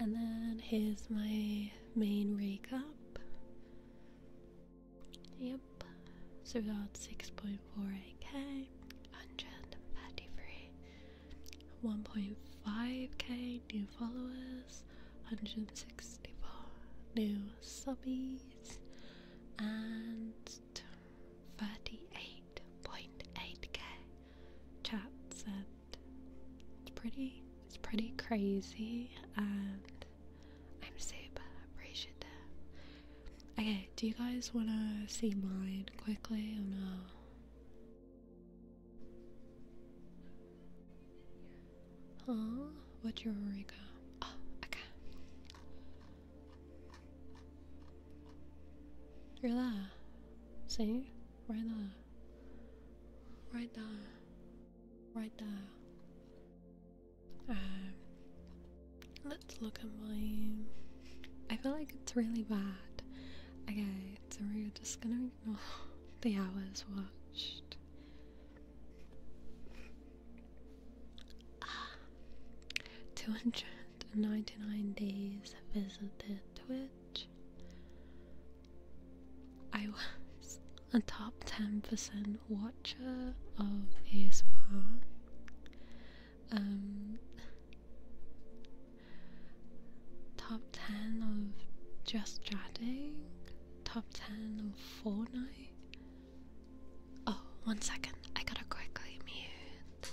And then here's my main recap. Yep. So that's got 6.48k, 133, 1.5k new followers, 164 new subbies, and 38.8k chats and it's pretty it's pretty crazy and I'm super appreciative. Okay, do you guys wanna see mine quickly or no? Huh? What's your Eureka? Oh, okay. You're there. See? right there, right there, right there. Um, let's look at mine. I feel like it's really bad. Okay, so we're just gonna ignore the hours watched. Ah, 299 days visited Twitter. I was a top 10% watcher of his. Um, top 10 of just chatting, top 10 of Fortnite. Oh, one second, I gotta quickly mute.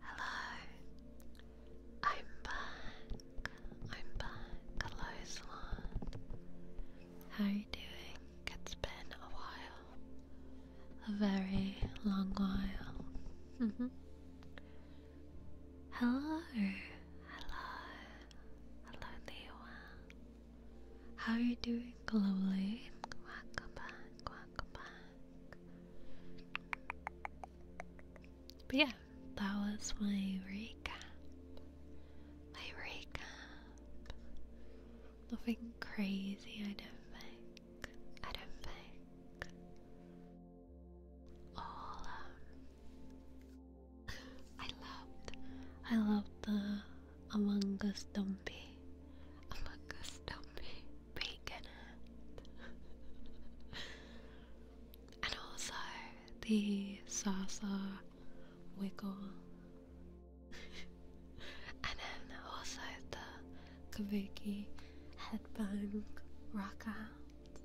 Hello, I'm back. I'm back. Hello, Salon. How are you doing? It's been a while. A very long while. -hmm. Hello, hello, hello, Lewa. How are you doing, globally? But yeah, that was my recap. My recap. Nothing crazy, I don't think. I don't think. All um, I loved, I loved the among Us Dumpy. Among Us Dumpy. Bacon And also the Sasa Wiggle. and then also the Kabuki Headbang Rockout.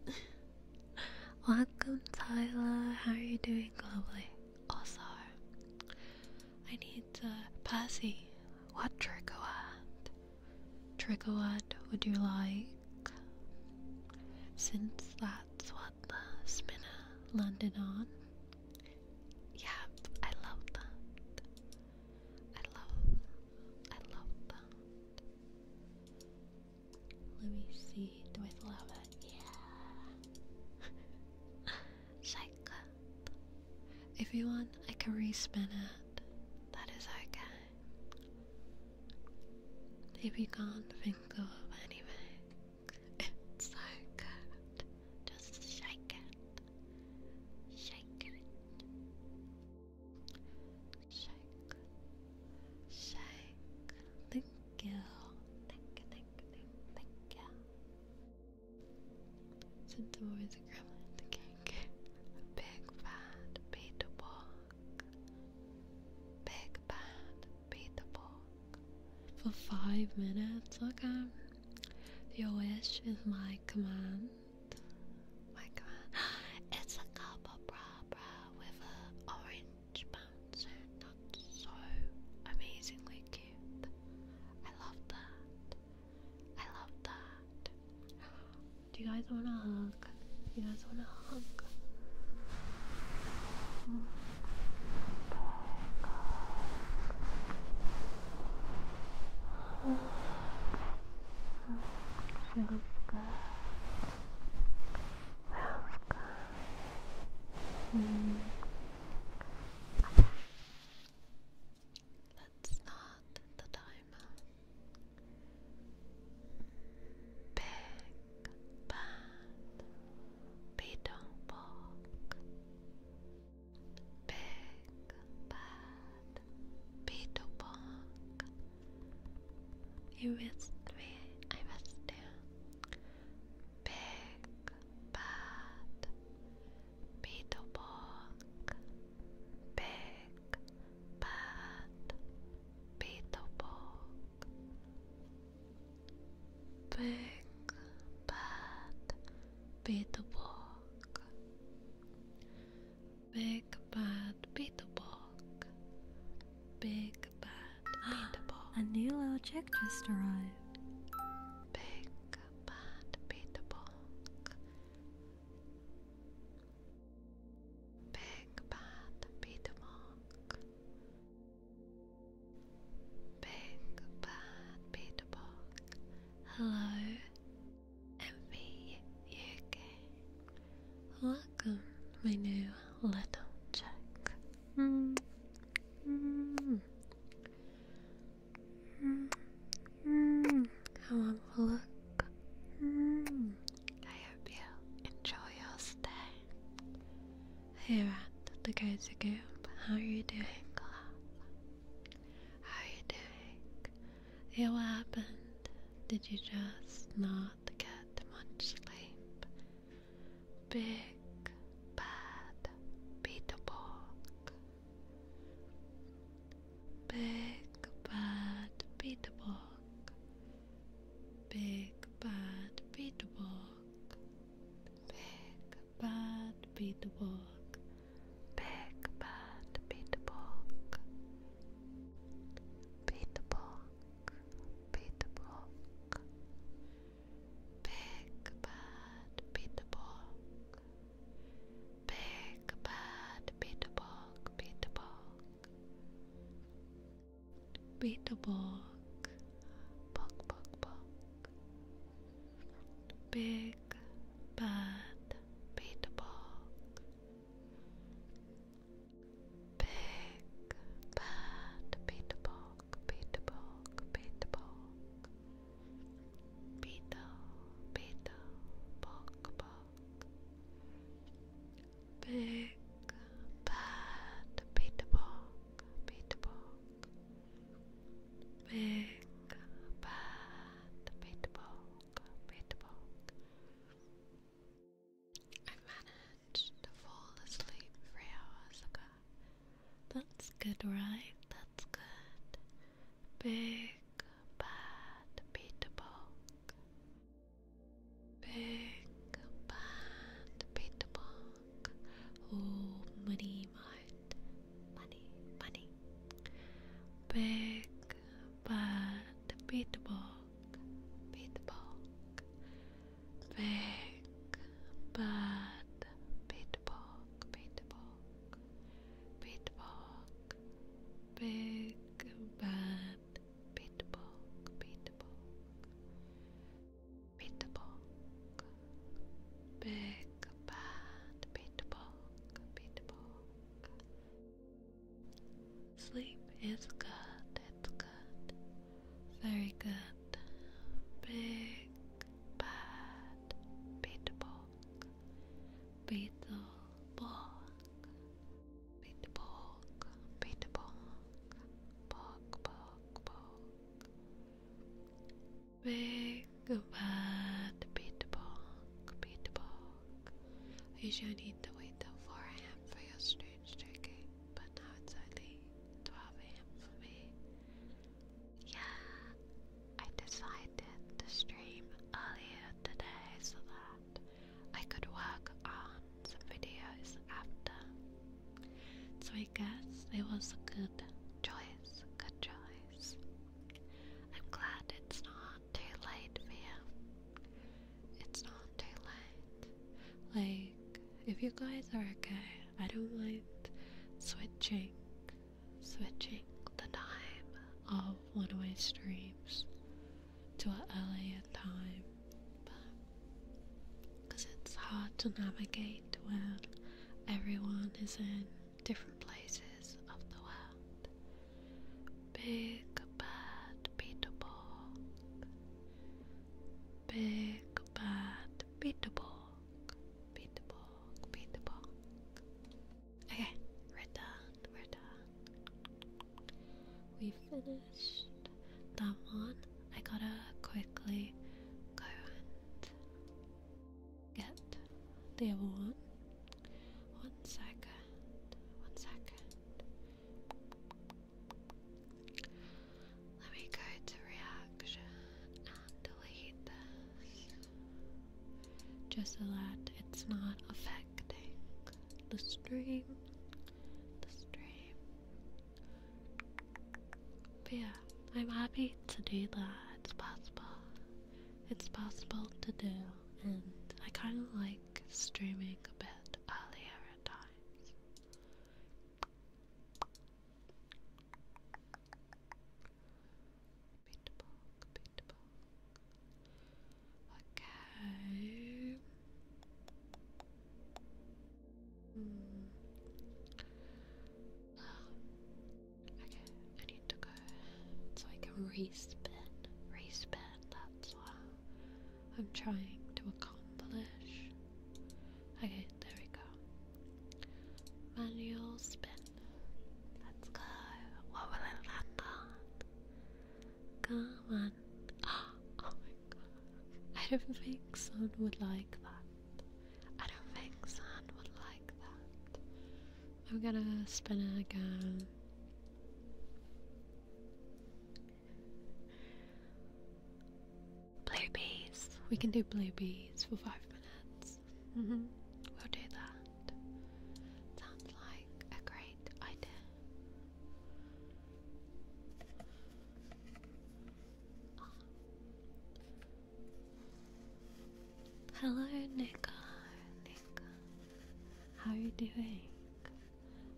Welcome Tyler, how are you doing globally? Also, I need uh, Percy. What trigger word? Trigger word would you like? Since that's what the spinner landed on. Yeah, I love that. I love, I love that. Let me see. Do I love it? Yeah. Psychopath. If you want, I can respin it. That is okay. If you can't think of anything, it's so good. Just shake it. Shake it. Shake. Shake. Thank you. Thank you, thank you, thank you. Sent them over the gremlin to kink. Big bad beat Big bad beat For five minutes, okay. Your wish is my command. My command. It's a couple bra with an orange bouncer. Not so amazingly cute. I love that. I love that. Do you guys want to hug? You guys want to hug? Mm. Let's start the timer. Big bad beatong pork. Big bad beetle pork. You missed me. I missed you. Big bad, Beetleborg, big, bad, Beetleborg, big, bad, Beetleborg, big, bad, Beetleborg, big, bad, Beetleborg. A new little just arrived. Big bad beatable. Big bad beatable. Big bad beatable. Hello, MV Welcome, my new little chick. Mm. Mm. Mm -hmm. How look? I hope you enjoy your stay here at the Cozy Goop. How are you doing, love? How are you doing? what happened? Did you just not get much sleep? Big bad Beetleborg. Big bad Beetleborg. Big bad Beetleborg. Big bad Beetleborg. Big bad Beetleborg. Beetleborg. Beetleborg. Big Bad beat the bog. Big Bad beat the bog, beat the bog. Beat the bog, bog, bog, bog. Big Bad beat the bog. Big Bad beat the bog. Beta Bulk, Beta Bulk, Beta, Beta, Bulk, Bulk, Big Bad, Beta Bulk, Beta Bulk, Big Bad, Beta Bulk, Beta Bulk. I managed to fall asleep three hours ago. That's good, right? That's good. Big bad Peter Bog. Big bad Peter Bog. Oh, money, mart. Money, money. Big bad Peter Bog. Peter Bog. Big bad Peter Bog, Bait Bog, Bait Bog, Big Bad Bait Bog, Bait Bog, Bait Bog, Big Bad Bait Bog, Bait Bog. Sleep is good, it's good, very good. Big bad bit bog bit bog bit bog bit bog bog bog bog big bad bit bog bit bog you should need to wait till 4 a.m. for your strange drinking but now it's only 12 a.m. for me yeah, I decided to stream earlier today so that I could work on some videos after. So I guess it was a good choice, good choice. I'm glad it's not too late for you. It's not too late. Like, if you guys are okay I don't mind switching, switching the time of one of my streams to a LA time, because it's hard to navigate when everyone is in different places of the world. Big bad Peter Borg. Big bad Peter Borg. Beat the bog, beat the bog. Okay, we're done, we're done. We finished that one. I gotta quickly go and get the other one. One second, one second. Let me go to reaction delete this. Just so that it's not affecting the stream. The stream. But yeah, I'm happy to do that. It's possible. It's possible to do, and I kind of like streaming a bit earlier at times. Okay. Okay, I need to go. So I can respin. Respin, that's what I'm trying to accomplish. Okay, there we go. Manual spin. Let's go. What will it land on? Come on. Oh my god. I don't think Sun would like that. I don't think Sun would like that. I'm gonna spin it again. Bluebees. We can do bluebees for five minutes. Mm -hmm. We'll do that. Sounds like a great idea. Hello, Nico. Nico. How are you doing?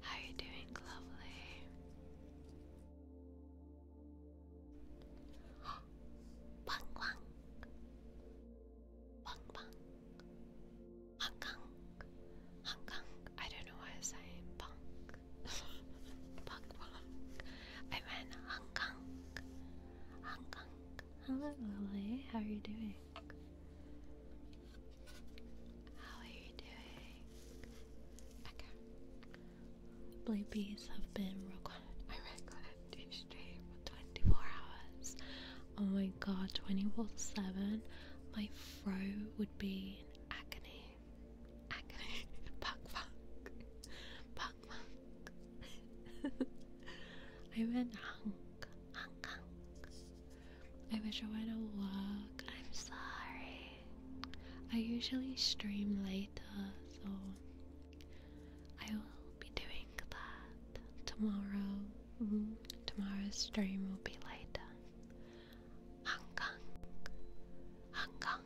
How are you doing, lovely? Bang bang. Bang bang. Hong Kong. Hong Kong. I don't know why I say punk. Bang bang. I meant Hong Kong. Hong Kong. Hello Lily, how are you doing? How are you doing? Okay. Blue bees have been recorded by recorded each day for 24 hours. Oh my god, 24 7. My fro would be in agony. Agony. Buck fuck. Buck fuck. I meant hunk. Hunk hunk. I wish I went to work. I'm sorry. I usually stream later, so I will be doing that tomorrow. Mm-hmm. Tomorrow's stream will be later. Hong Kong,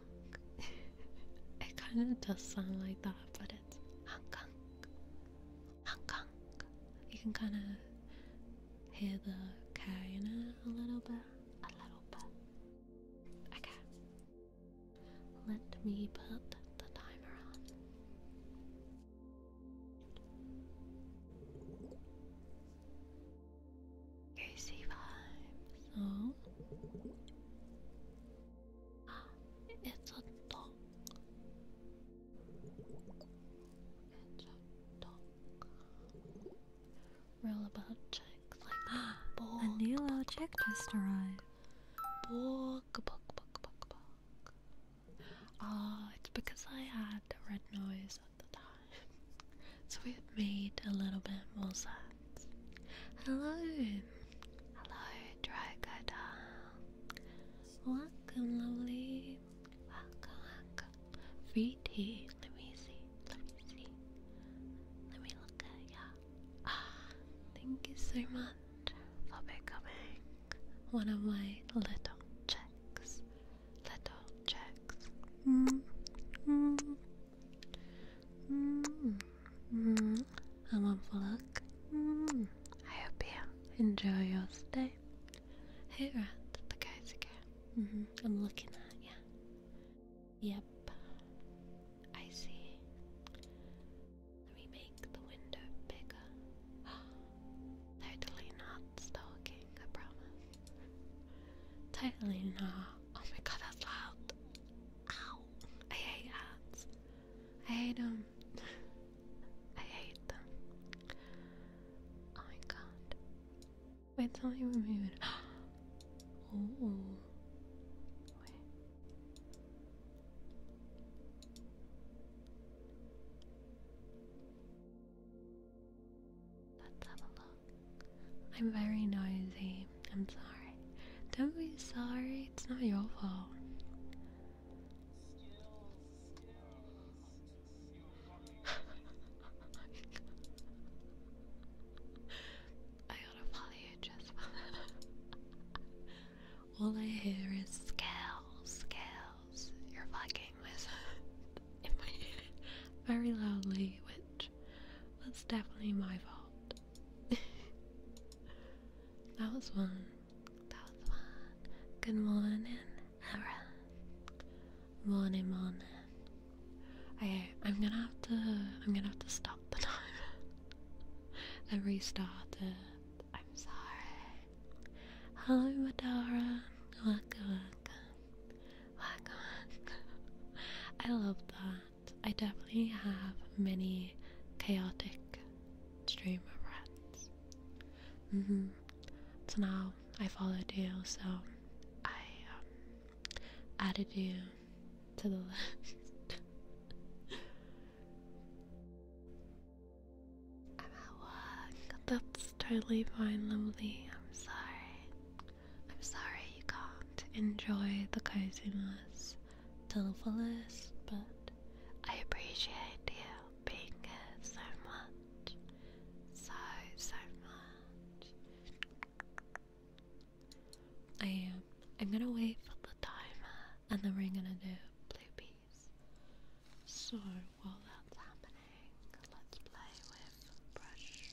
it kind of does sound like that, but it's Hong Kong, You can kind of hear the K a little bit, a little bit. Okay, let me put the timer on. Greasy vibes. Oh. Ah, it's a dog. It's a dog. Roll about ah, a new little just arrived. Book, book, book, book, book. Ah, oh, it's because I had red noise at the time. so it made a little bit more sense. Hello! Hello, Dragadon. Welcome, lovely. Welcome, welcome. Free tea. Let me see. Let me see. Let me look at ya ah, thank you so much for becoming one of my little checks. Little checks. Mm, mm, mm, mm. I'm on for luck. Mm. I hope you enjoy your stay Hey, at the Kaiser mm -hmm. I'm looking at you. Yep, I see. Let me make the window bigger. totally not stalking, I promise. Totally not. Oh my god, that's loud. Ow. I hate ads. I hate them. I hate them. Oh my god. Wait, something was moving. oh, Let's have a look. I'm very noisy. I'm sorry. Don't be sorry. It's not your fault. I gotta follow you just All I hear is scales, scales. You're fucking with in very loudly, which was definitely my fault. that was one. That was one. Good morning, Hara. Morning, morning. Okay, I'm gonna have to. I'm gonna have to stop. I restarted. I'm sorry. Hello, Madara. Welcome, welcome. Welcome, welcome. I love that. I definitely have many chaotic streamer friends. Mm hmm. So now I followed you, so I um, added you I'm at work. That's totally fine, lovely. I'm sorry. I'm sorry you can't enjoy the coziness the fullest, but I appreciate you being here so much. So, so much. I am. I'm gonna wait for the timer and then we're gonna do blue peas. So while that's happening, let's play with brush.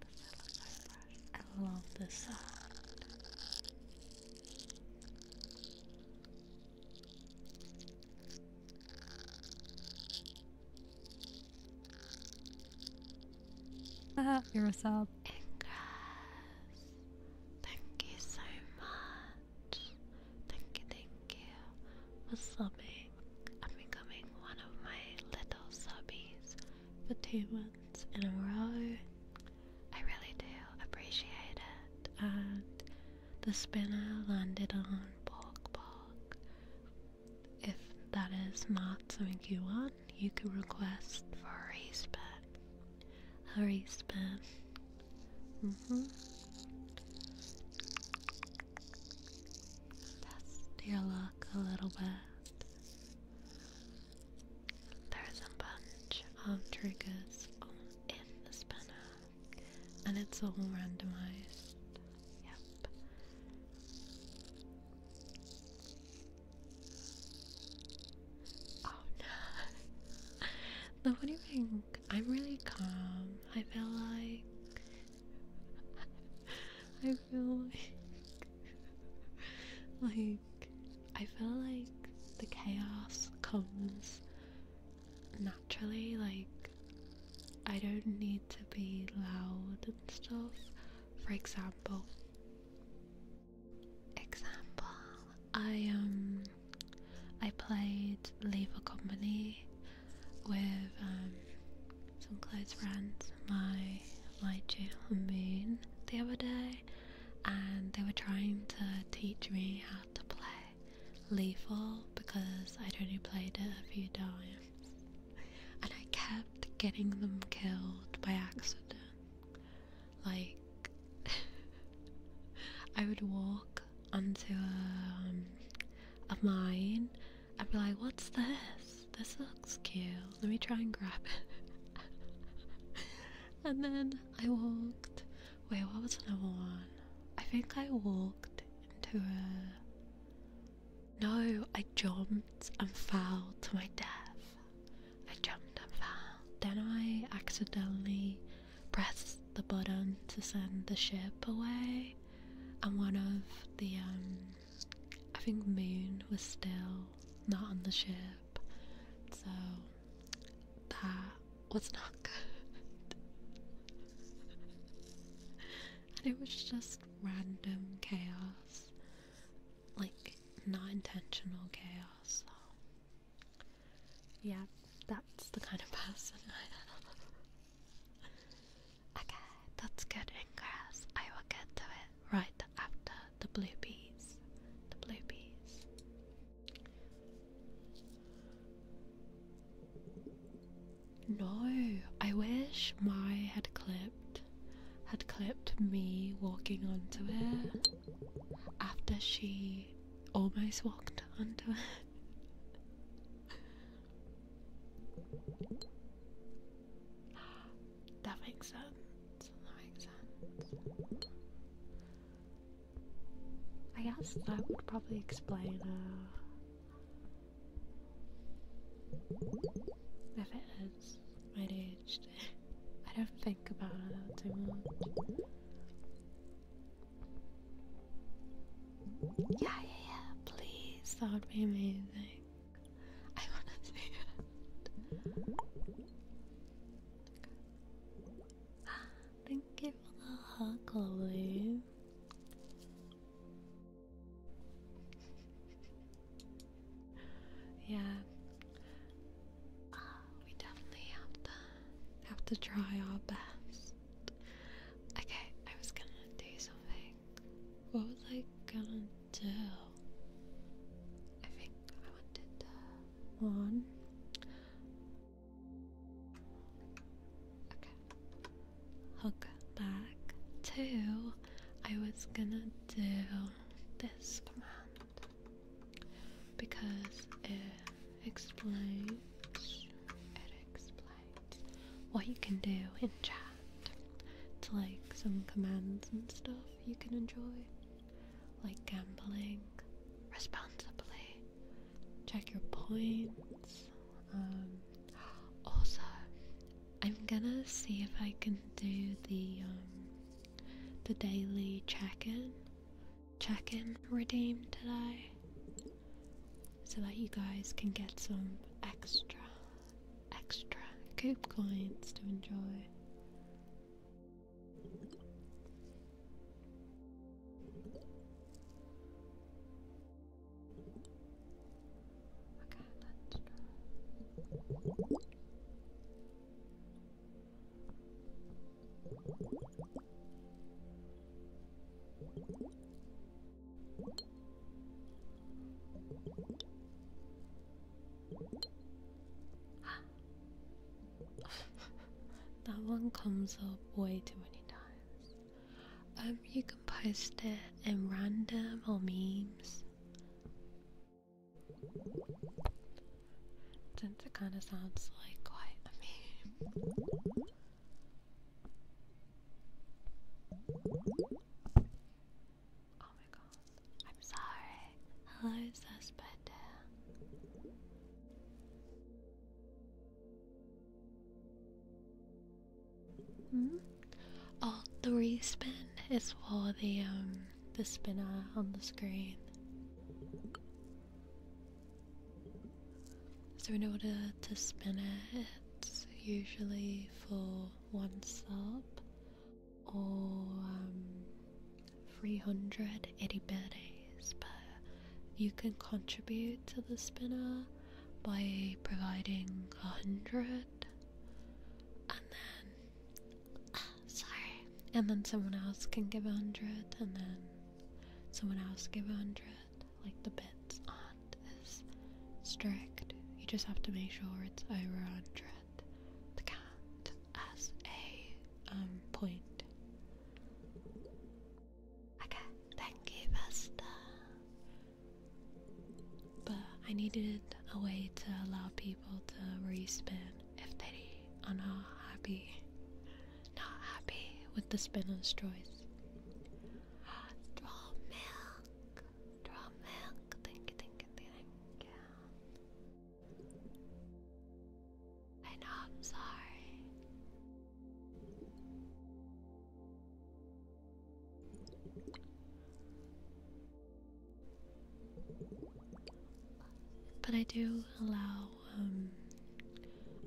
brush. I love this you uh-huh. sub. Thank you so much. Thank you, thank you for subbing I'm becoming one of my little subbies for two months in a row. I really do appreciate it. And the spinner landed on Pork Pork. If that is not something you want, you can request for a race ban. A race ban. Mm hmm. Test your luck a little bit. There's a bunch of triggers in the spinner, and it's all randomized. Yep. Oh no. Look, what do you think? I'm really calm. I feel like. I feel like. like. I feel like the chaos comes naturally. Like, I don't need to be loud and stuff. For example, example, I um I played Leave a Company with um, some close friends, my my Jill and Moon the other day and they were trying to teach me how to play lethal because I'd only played it a few times and I kept getting them killed by accident like, I would walk onto um, a, um, I'd be like, what's this? This looks cute. Let me try and grab it. and then I walked. Wait, what was another one? I think I walked into a. No, I jumped and fell to my death. I jumped up Then I accidentally pressed the button to send the ship away, and one of the um, I think Moon was still not on the ship, so that was not good. and it was just random chaos like not intentional chaos. yeah, that's the kind of person I am. okay, that's good ingress. I will get to it right after the blue bees. The blue bees. No, I wish my had clipped had clipped me walking onto it after she almost walked onto it. that makes sense. That makes sense. I guess that would probably explain uh, if it sense I don't think about it too much. Yeah, yeah, yeah, please, that would be amazing. I wanna see it. thank you for the hug, Chloe. Yeah. Ah, we definitely have to have to try our best. Okay, I was gonna do something. What was I gonna do? I think I wanted to one. Okay. Hook back. Two. I was gonna do this command because it explains it explains what you can do in chat. It's like some commands and stuff you can enjoy, like gambling responsibly, check your points. Um, also, I'm gonna see if I can do the um, the daily check-in check-in redeemed today so that you guys can get some extra extra coop coins to enjoy Okay, let's try. that one comes up way too many times. Um, you can post it in random or memes. Since it kind of sounds like quite a meme. Oh my god. I'm sorry. Hello, suspect. Uh, -hmm. Oh, the respin is for the um the spinner on the screen. So, in order to spin it, it's usually for one sub or um, 300 itty but you can contribute to the spinner by providing a 100 and then sorry. And then someone else can give a hundred, and then someone else give a hundred. Like the bits on is strict. You just have to make sure it's over a hundred The count as a um, point. Okay, thank you, Vesta. But I needed a way to allow people to respin if they are not happy, not happy with the spinner's choice. Draw milk, draw milk. Thank you, thank you, I know. I'm sorry. But I do allow, um,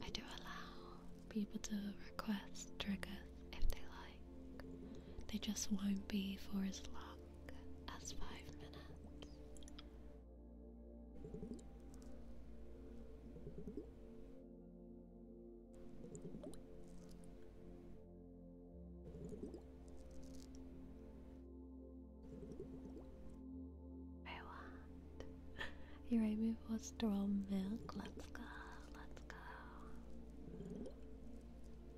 I do allow people to request triggers if they like. They just won't be for as long as five minutes. I want. Your aim for milk. Let's go. Let's go.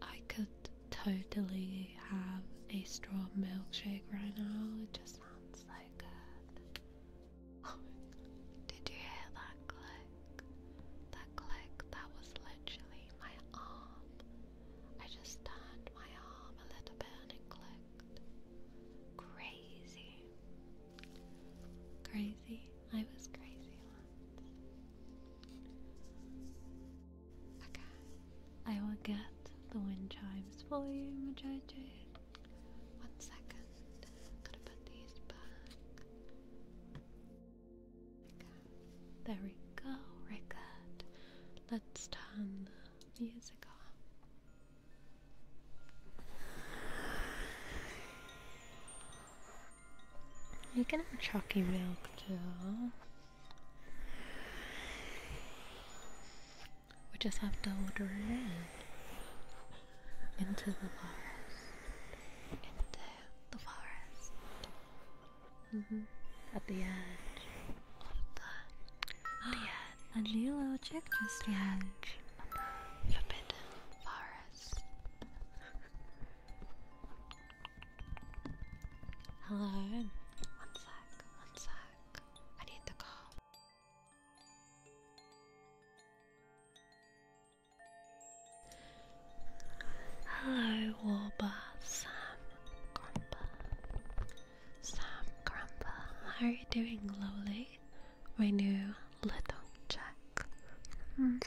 I could totally have a straw milkshake right now. It just sounds like. good. did you hear that click? That click, that was literally my arm I just turned my arm a little bit and it clicked. Crazy. Crazy. I was crazy Okay. I will get the wind chimes for you, Majoji. One second. Gotta put these back. There we go, record. Let's turn the music off. You can have chalky milk too. We just have to order it Into the forest. Into the forest. Mm-hmm. At the edge. The, the edge. A little chick just arrived. The forbidden forest. Hello. One sec. One sec. I need to call. Hello, Warbath Grumpa. Sam Grumpa, how are you doing, Lolly? My new little check. Mm.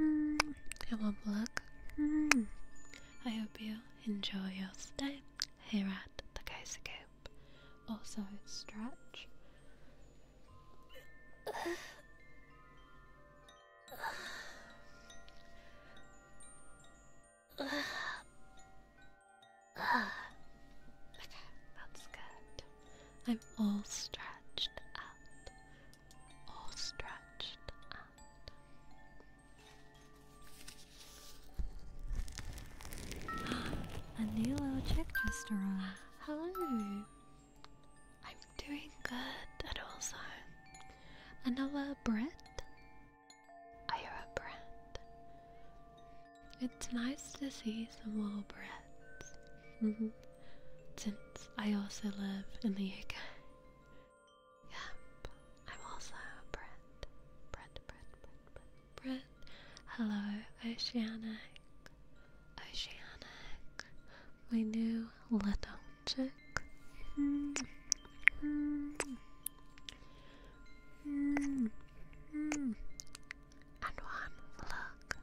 Mm. won't look. I hope you enjoy your stay here at the Kaiser Coop. Also, stretch. okay, that's good. I'm all stretched out. All stretched out. A new little Hello. I'm doing good, and also another bread. I hear a bread. It's nice to see some more breads. Mm-hmm, since I also live in the UK. Yep, I'm also a bread. Bread, bread, bread, bread, Hello, Oceanic. Oceanic, my new little chick. Mm And one look.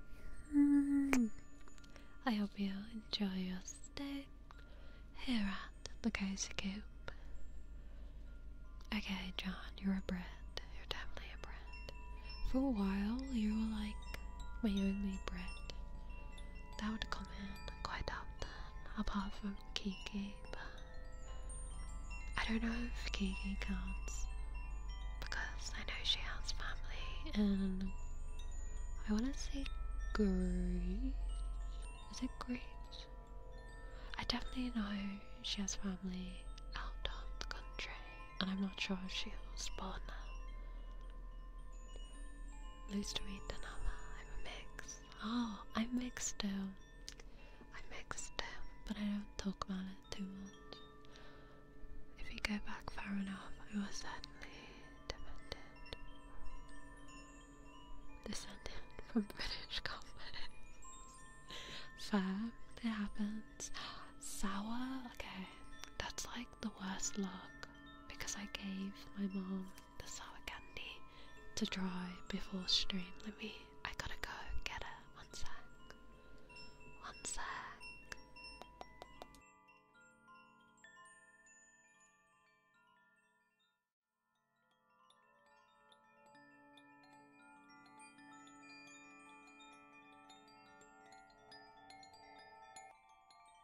I hope you enjoy your stay here at the Cozy Coop. Okay, John, you're a bread. You're definitely a bread. For a while, you were like my only bread. That would come in quite often, apart from Kiki, but I don't know if Kiki counts because I know she has family and I want to say Greece. Is it Greece? I definitely know she has family out of the country and I'm not sure if she was born now. Loose to eat another. I'm mixed. Oh, I'm mixed too. I'm mixed too, but I don't talk about it too much. If you go back far enough, I was certainly demented. Descended from British combat. Fair, it happens. Sour? Okay. That's like the worst luck because I gave my mom the sour candy to dry before stream. Let me, I gotta go get her. One sec. One sec.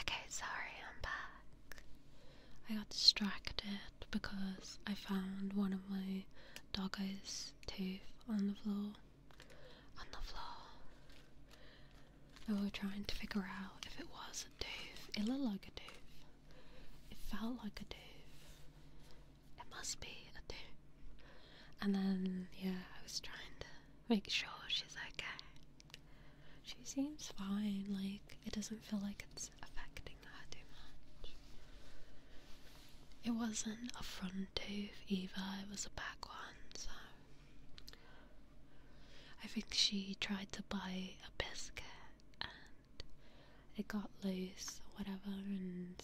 Okay, sorry, I'm back. I got distracted because I found one of my doggo's teeth on the floor. On the floor. I was trying to figure out if it was a tooth. It looked like a tooth. It felt like a tooth. It must be a tooth. And then, yeah, I was trying to make sure she's okay. She seems fine, like, it doesn't feel like it's affecting her too much. It wasn't a front tooth either, it was a back one, so. I think she tried to buy a biscuit and it got loose or whatever and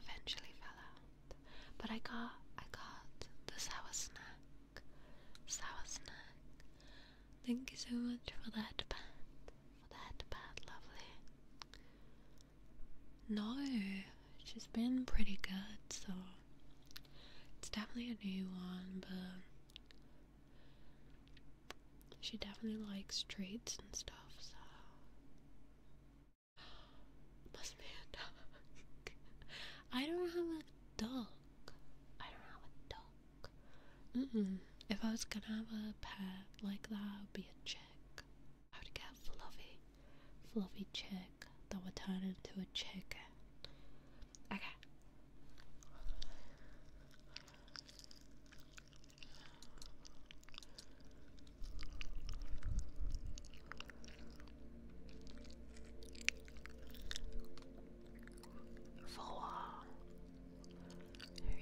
eventually fell out. But I got I got the sour snack sour snack. Thank you so much for that pat, for that pat, lovely. No, she's been pretty good, so it's definitely a new one, but she definitely likes treats and stuff, so. Must be a dog. I don't have a dog. I don't have a dog. If I was gonna have a pet like that, it would be a chick. I would get a fluffy, fluffy chick that would turn into a chicken. Okay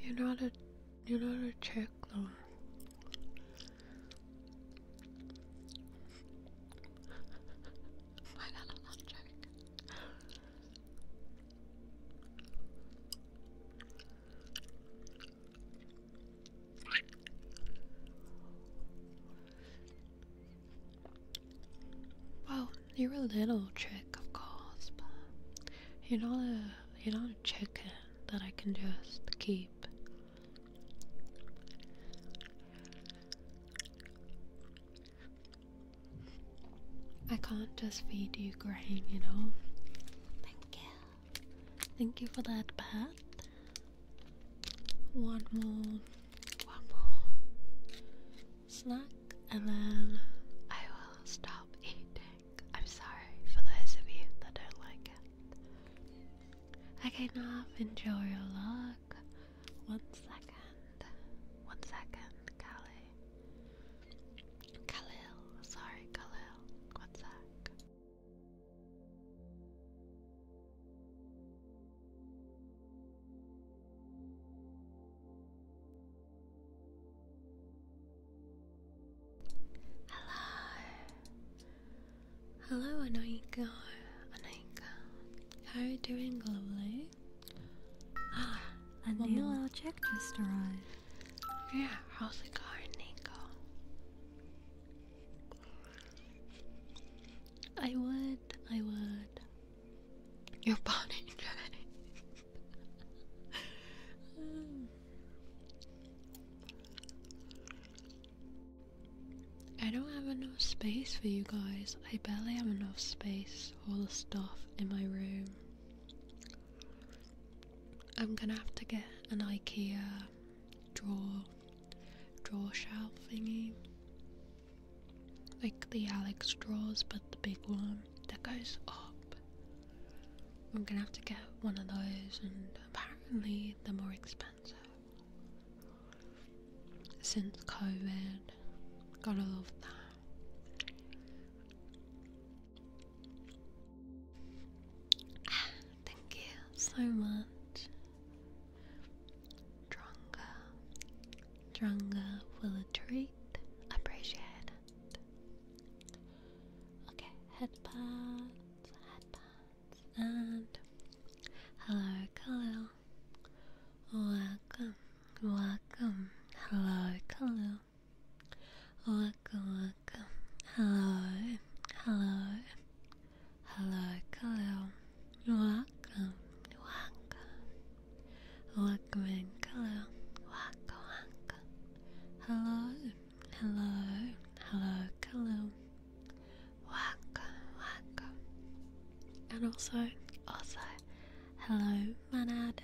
you're not a you're not a chick though. Why not a chick? Well, you're a little trick, of course, but you're not a you're not a chicken that I can just keep. I can't just feed you grain, you know. Thank you. Thank you for that pat. One more. One more snack and then I will stop eating. I'm sorry for those of you that don't like it. I cannot enjoy your look. One second. One second, Callie. Khalil. Sorry, Khalil. One Hello, hello, Anoika, Anoika. How are you doing, lovely? a new little just arrived. Yeah, how's it going, Nico? I would, I would. Your body I don't have enough space for you guys. I barely have enough space for the stuff in my room. I'm gonna have to get an IKEA drawer drawer shelf thingy like the Alex straws, but the big one that goes up. I'm gonna have to get one of those, and apparently they're more expensive. Since COVID, gotta love that. thank you so much. Dronga. Dronga will a treat. Appreciate it. Okay, headpads, headpads, and hello, Khalil. Welcome, welcome, hello, Khalil. Welcome, welcome, hello, hello, hello, Khalil. Welcome, welcome. Welcome, hello, welcome, welcome. Hello, hello, hello, hello. Welcome, welcome. And also, also, hello, manad.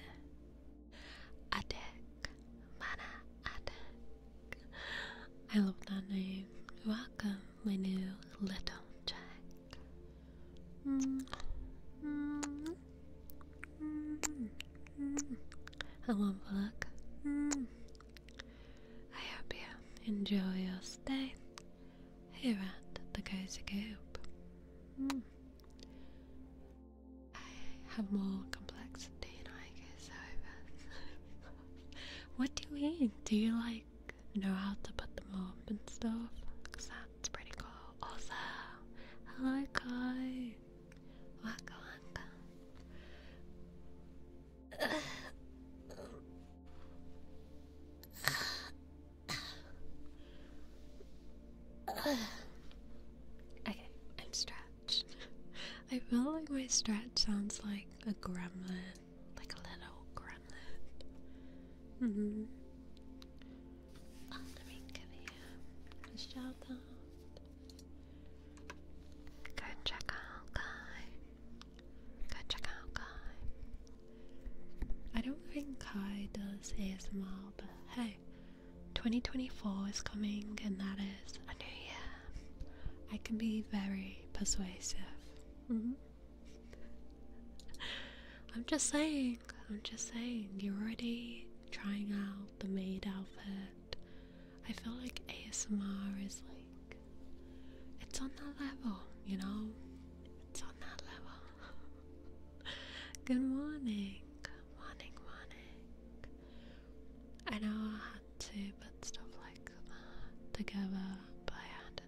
Adek, mana adek. I love that name. Welcome, my new little Jack. Mm -hmm. Mm -hmm. I hope you enjoy your stay here at the Cozy Coop. I have more complexity than I get what do you mean? Do you like know how to put them up and stuff. Cause that's pretty cool. Also, hello Kai. Waka okay, I'm stretched. I feel like my stretch sounds like a gremlin, like a little gremlin. Mm hmm. On here. shout out. Go check Kai. Go check Kai. I don't think Kai does ASMR, but hey, 2024 is coming and that is a new year. I can be very persuasive. Mm-hmm. I'm just saying, I'm just saying, you're already trying out the maid outfit. I feel like ASMR is like, it's on that level, you know? It's on that level. Good morning, morning, morning. I know I had to put stuff like that together, but I had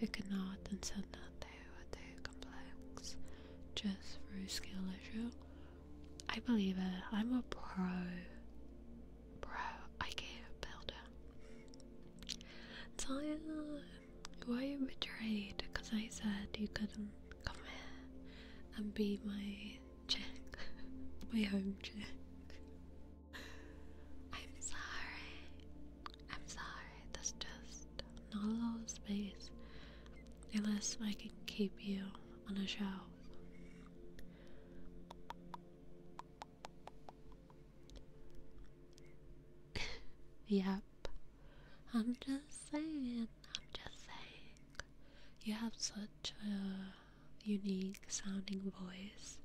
who cannot and said that they were too complex just through skill issue. I believe it. I'm a pro. Bro, IKEA builder. Tyler, were you betrayed? Because I said you couldn't come here and be my chick, my home chick. I'm sorry. I'm sorry, That's just not a lot space. Unless I can keep you on a show. yep. I'm just saying, I'm just saying. You have such a unique sounding voice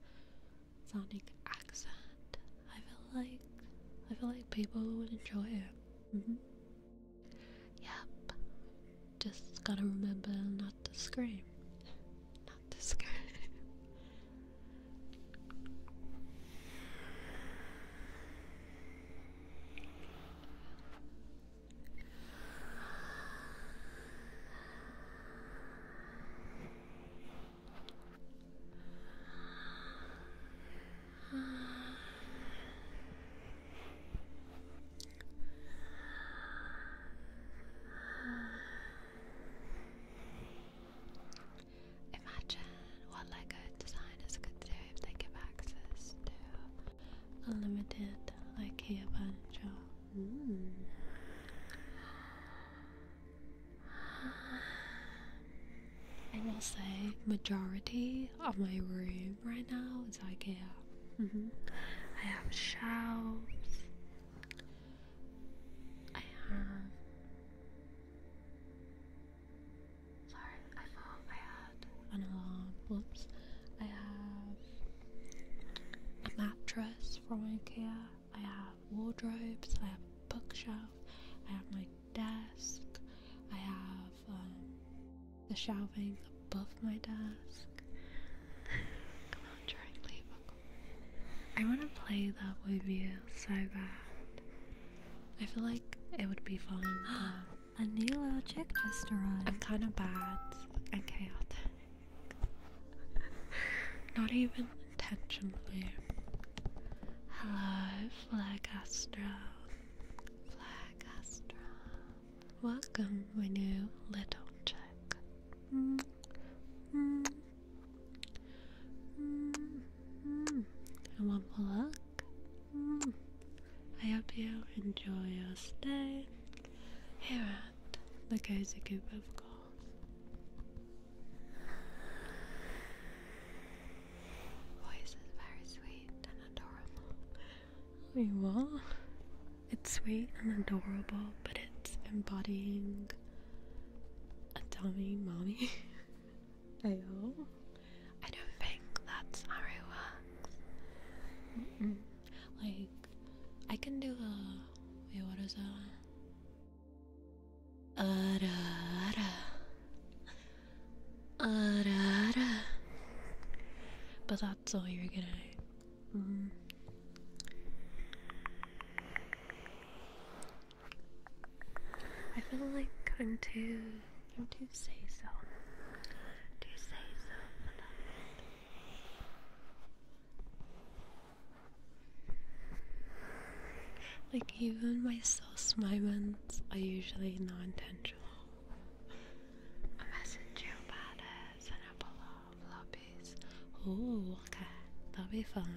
sonic accent. I feel like I feel like people would enjoy it. Mm-hmm. Yep. Just gotta remember not to scream. not to scream. Imagine what LEGO designers could do if they give access to unlimited IKEA furniture. Mm. I will say majority of my room right now is IKEA. Mm-hmm. I have shelves. I have. Sorry, I thought I had an Whoops. I have a mattress from IKEA. I have wardrobes, I have a bookshelf, I have my desk, I have um, the shelving above my desk. Come on, Charlie, I want to play that with you so bad. I feel like it would be fun. a new little just arrived. I'm kind of bad and chaotic. Not even Attention, please. Hello, Flag Astro, Welcome, my new little chick. And one more look. I hope you enjoy your stay here at the Cozy Coop of course. Voice is very sweet and adorable. Wait, what? It's sweet and adorable, but it's embodying a dummy mommy. Ayo. I don't think that's how it works. Like, I can do a. what is that? Ara ara. Ara ara. But that's all you're gonna. Mm. I feel like I'm too. i too say so. Too say so. Like, even my sauce moments are usually non intentional. I message you and I pull off lobbies. Oh, okay, that'll be fun.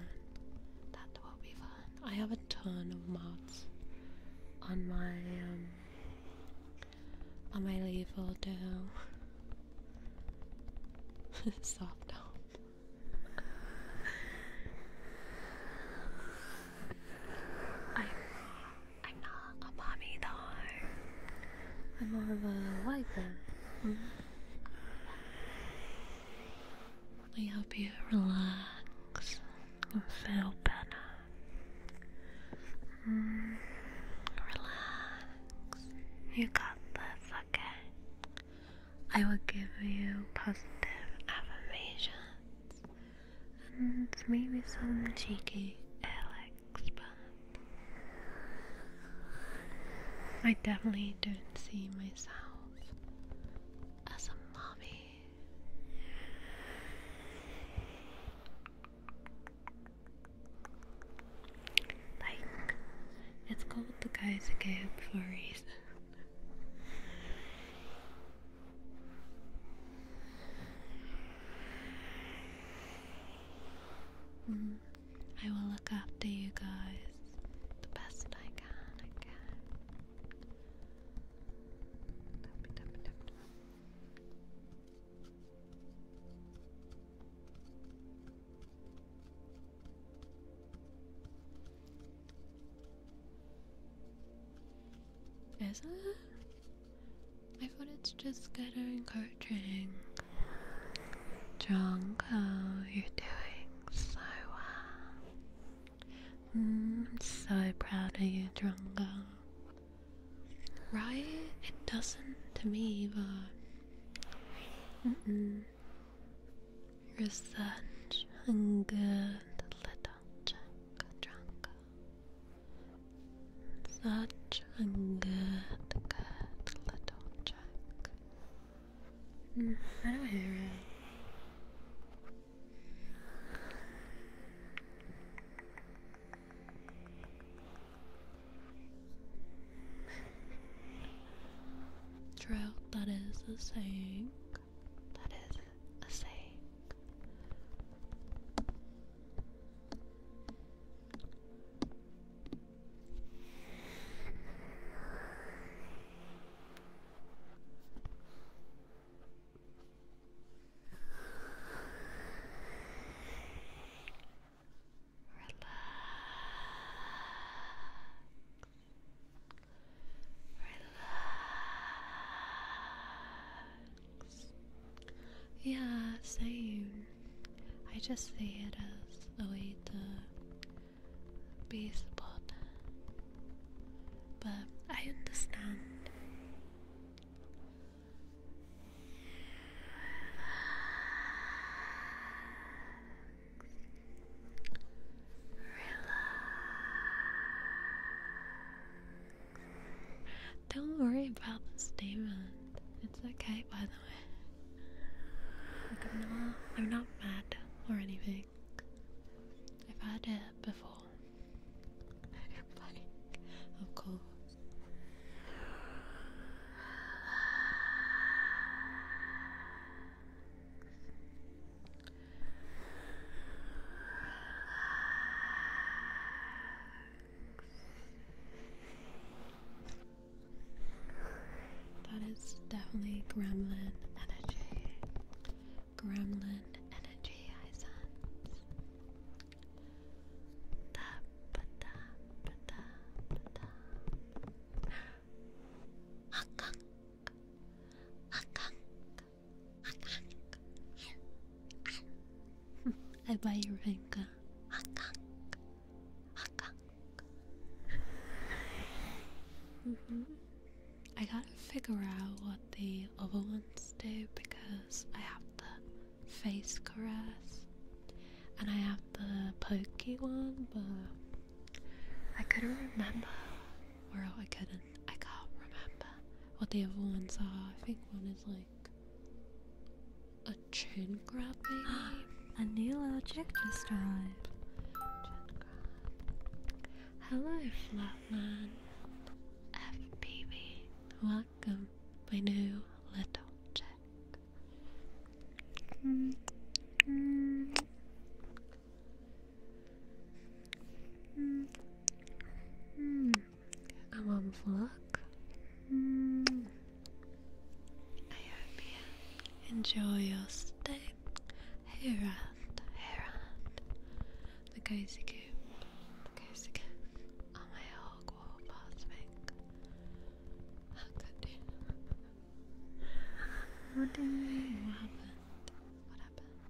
That will be fun. I have a ton of mods on my, um, on my leave all Soft top. I'm, not a mommy though. I'm more of a wiper. Mm -hmm. help you relax and feel better. Mm-hmm. relax. You got this, okay? I will give you positive affirmations and maybe some cheeky air experiment. I definitely don't see myself as a mommy. Like, it's called the Geyser Cave for a Mm-hmm. I will look after you guys the best I can. Is it? I thought it's just kind of encouraging. Jonko, you're doing so well. Mm, I'm so proud of you, Drongo. Right? It doesn't to me, but such a good little chunk drunk. Such a good, good little chunk. I do not hear it? Trout, that is the saying. That is a saying. Relax. Relax. Yeah, same. I just see it as a way to be supported. But I understand. Don't worry about the statement. It's okay, by the way. I'm not, mad or anything. I've had it before. like, of course. That is definitely gremlin energy. Gremlin energy, I sense. Da, ba, da, ba, da, ba, da. I buy your Renka. I gotta figure out what the other ones do because I have the face caress and I have the pokey one, but I couldn't remember, or I couldn't I can't remember what the other ones are. I think one is like a chin grab, maybe. a new little chick just arrived. Chin grab. Hello, Flatman. Welcome, my new little chick. Mm, mm. Mm I'm on vlog. Mm I hope you enjoy your stay Hey, at, Hey, at the cozy coop, the cozy Am on oh, my hog wall past me. what do What happened? What happened?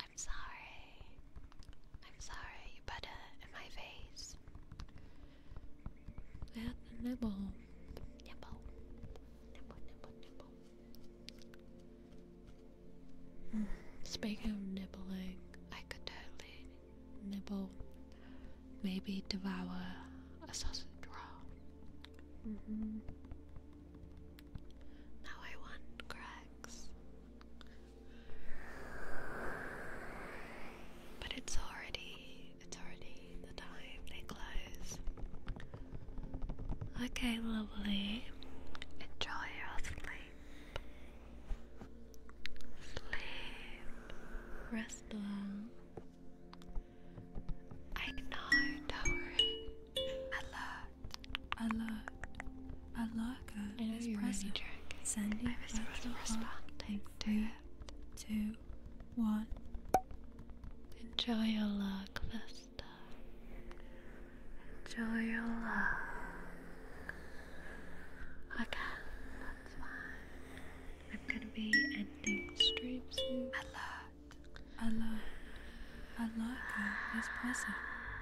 I'm sorry. I'm sorry. You put it in my face. That nibble. Nibble. Nibble, nibble, nibble. Mm. Speaking of nibbling, I could totally nibble. Maybe devour a sausage roll. Mm -hmm. Now I want Greg's. But it's already it's already the time they close. Okay, lovely. Enjoy your sleep. Sleep. Rest well. I know, don't worry. Alert. Alert. Alert. It is I drink. is you're present. Really Sending I was sort to three, it. Two, Enjoy your luck, Vesta. Enjoy your luck. Okay, that's fine. I'm gonna be ending stream soon. Alert. Alert. Alert is present.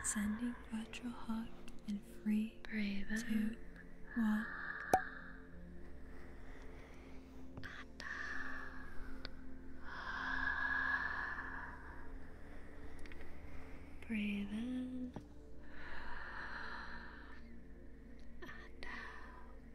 Sending but your heart and free Brave to in. walk. Breathe in and out.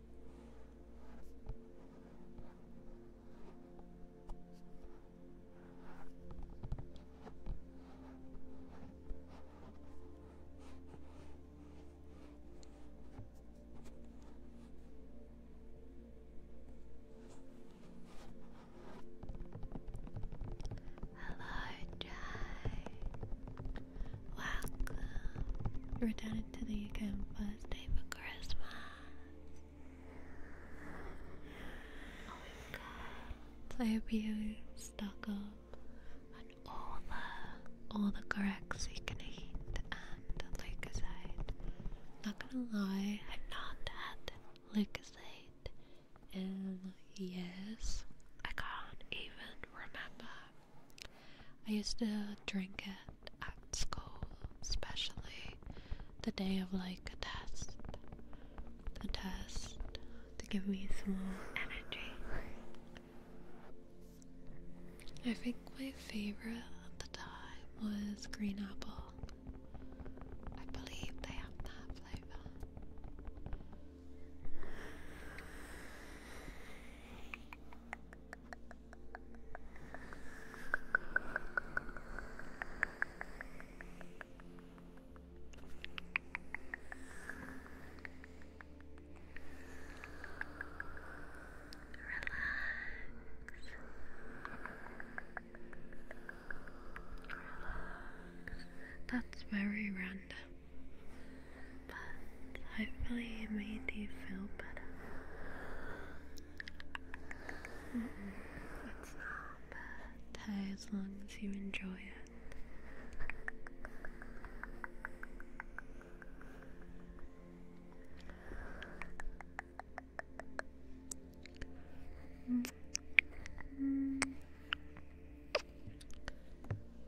Hello, Jai. Welcome. Returning to the account first day for Christmas. I hope you stock up on all the all the corrects you can eat and leukocyte. Not gonna lie, I've not had leukocyte in years. I can't even remember I used to drink it at school, especially the day of like a test. A test to give me some energy. I think my favorite at the time was green apple. I believe they have that flavor. Relax. That's very random but hopefully it made you feel better. it's not bad as long as you enjoy it. Mm. Mm.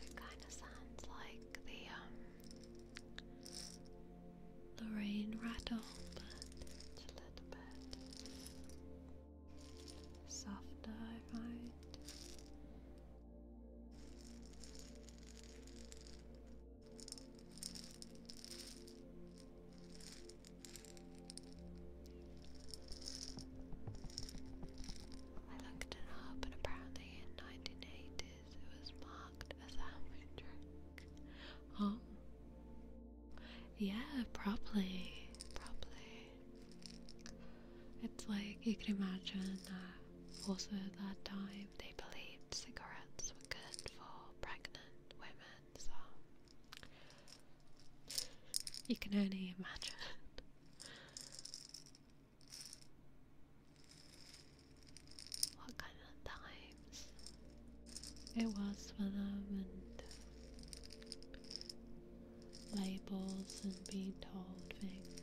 It kind of sounds like the um rain rattle, but it's a little bit softer, I find. I looked it up, and apparently in 1980s it was marked as a hammered drink. Oh, yeah, probably, probably. It's like you can imagine that also at that time they believed cigarettes were good for pregnant women, so you can only imagine. What kind of times it was for them and labels and being told things.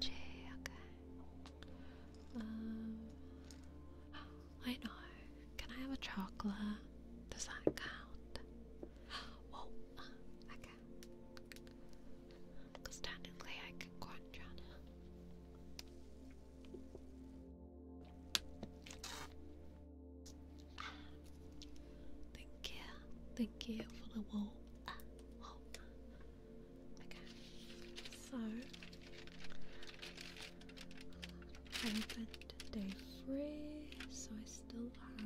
okay. Um, I know. Can I have a chocolate? Does that count? Whoa, uh, technically I can crunch Thank you, thank you for the wall. Oh. Okay, so I opened day three, so I still have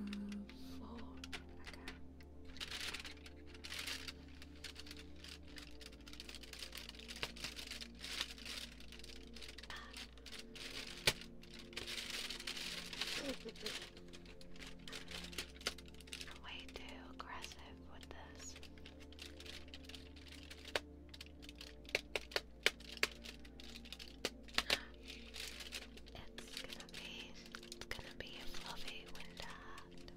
four. Okay. I'm way too aggressive with this. It's gonna be it's gonna be fluffy winter hat.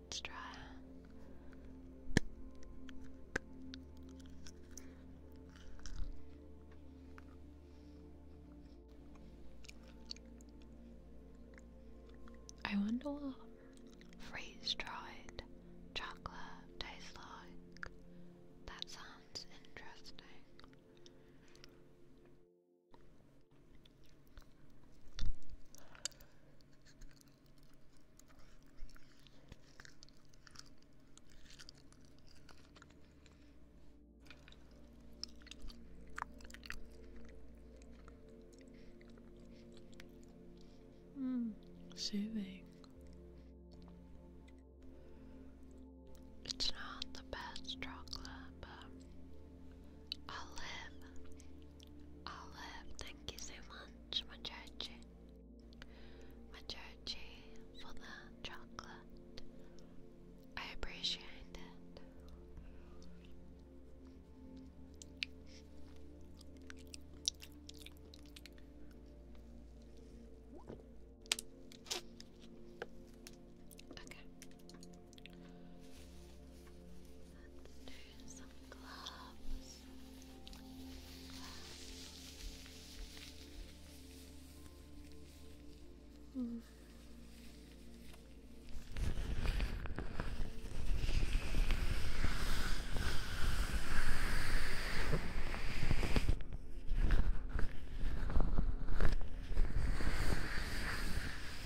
Let's try. I wonder what freeze dried chocolate tastes like. That sounds interesting. Mm, soothing. It's not the best chocolate, but I'll live. Olive, thank you so much, Machachi. Machachi for the chocolate. I appreciate it. Okay. Let's do some gloves. Mm. Good.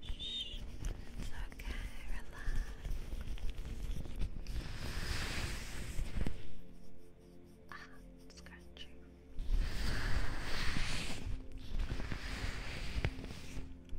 Shh. It's okay, relax. Ah, scratchy.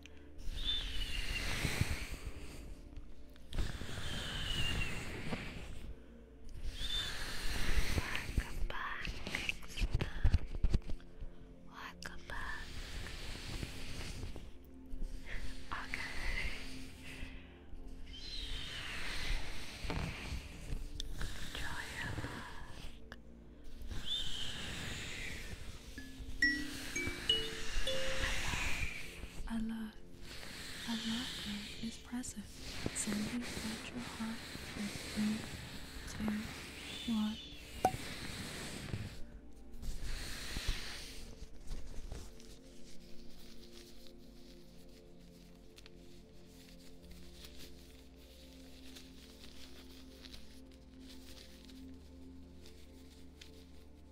Welcome back, Kingston. Welcome back. Okay. Enjoy your luck. Relax. Allah, Allah is present, Send out your heart with me to three, two, one.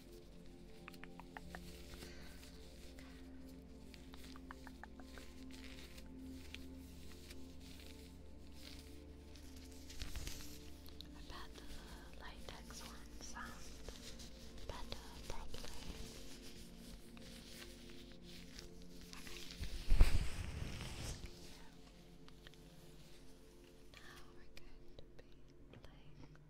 I bet the latex one sounds better probably. Now we're going to be playing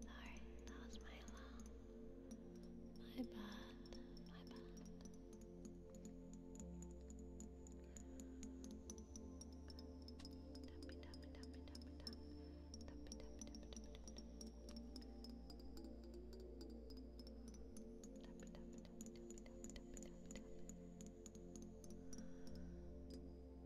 Sorry, that was my alarm. My bad, my bad. Tappy, tappy, tappy, tappy, tap. Tappy, tappy, tappy, tappy, tap. Tappy, tappy, tappy, tappy, tappy, tappy, tappy, tap.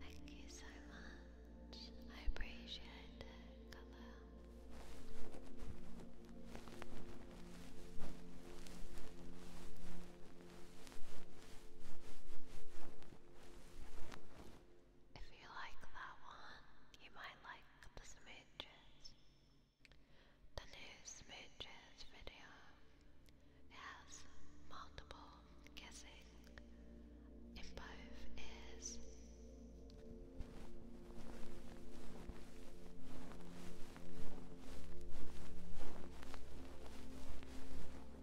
Thank you so much. I appreciate it, if you like that one, you might like the smooches. The new smooches video has multiple kissing in both ears.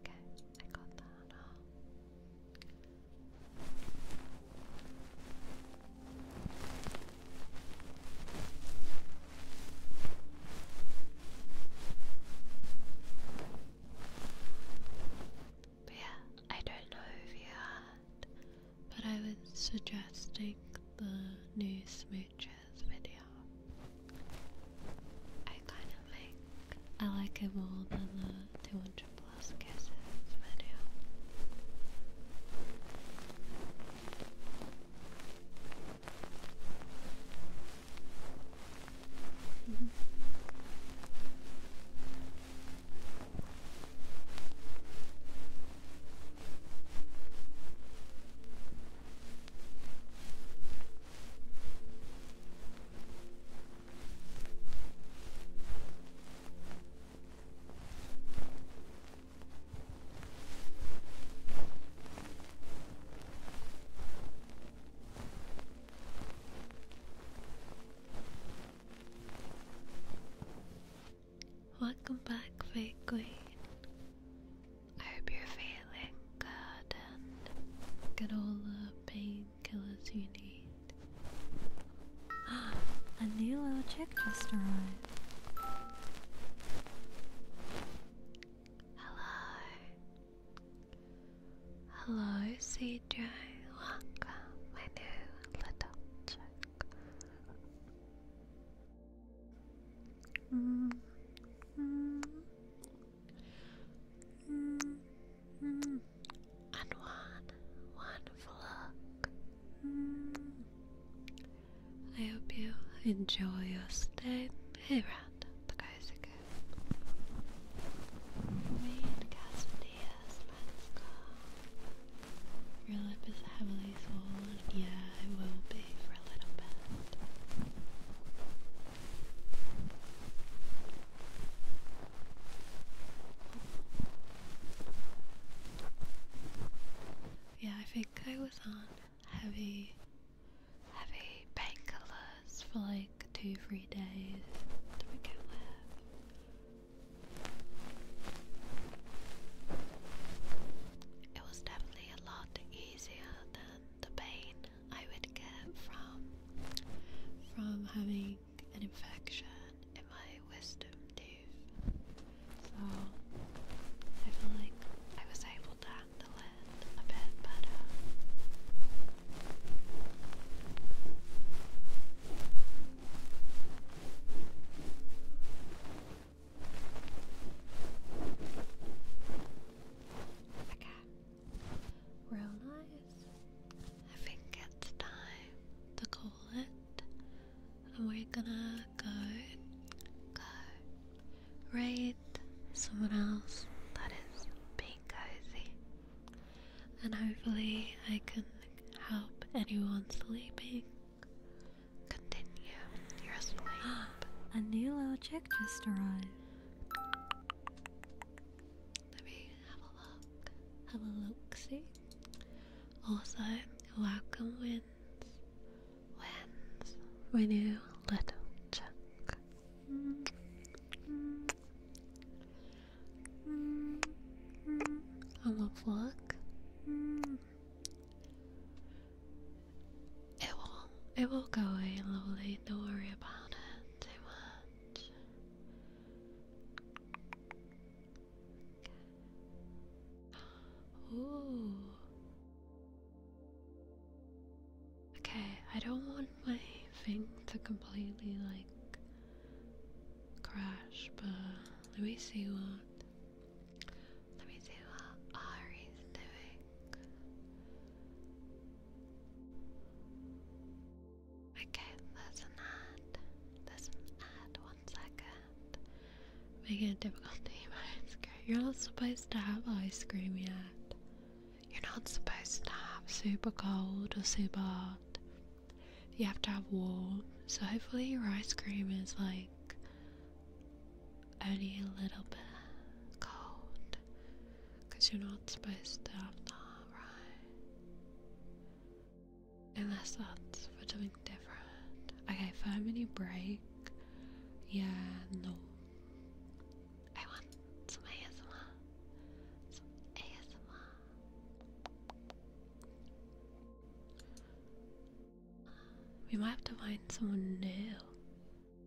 Okay, I got that But yeah, I don't know if you had, but I was suggesting the new smoothie I kind of think I like it more than the 200 plus kisses video. Welcome back, Fake Queen. I hope you're feeling good and get all the painkillers you need. A new little chick just arrived. Hello. Hello, CJ. Welcome, my new little chick. And one wonderful look. I hope you enjoy your stay. here Rat, the guy's again. Read Cassidy is heavily yeah, I will be for a little bit. Yeah, I think I was on heavy, heavy painkillers for like two, three days It was definitely a lot to eat easier than the pain I would get from from having an infection in my wisdom tooth. So I feel like I was able to handle it a bit better. Okay. Real nice. I think it's time to call it. And we're gonna go, go, raid someone else that is being And hopefully I can help anyone sleeping. Continue. A new little chick just arrived. Let me have a look. Have a look, see? Also, welcome wins. Wins. We new little chick. I'm a it will it will go away slowly, don't worry about it too much. Ooh. Okay, I don't want my thing to completely like crash, but let me see what let me see what Ari's doing. Okay, there's an ad. There's One second. Making it difficult to eat my ice cream. You're not supposed to have ice cream yet. You're not supposed to have super cold or super hot. You have to have warm. So hopefully your ice cream is like only a little bit cold because you're not supposed to have that, right? Unless that's for something different. Okay, five minute break. Yeah, no. I We might have to find someone new. Okay.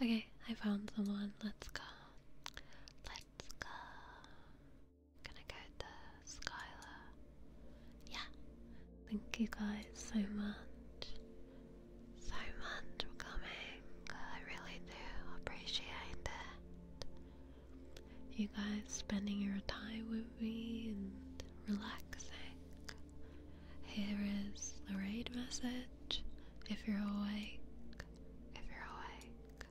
Okay, I found someone. Let's go. Let's go. Gonna go to Skylar. Yeah. Thank you guys so much. So much for coming. I really do appreciate it. You guys spending your time with me and relaxing. Here is the raid message if you're awake. If you're awake.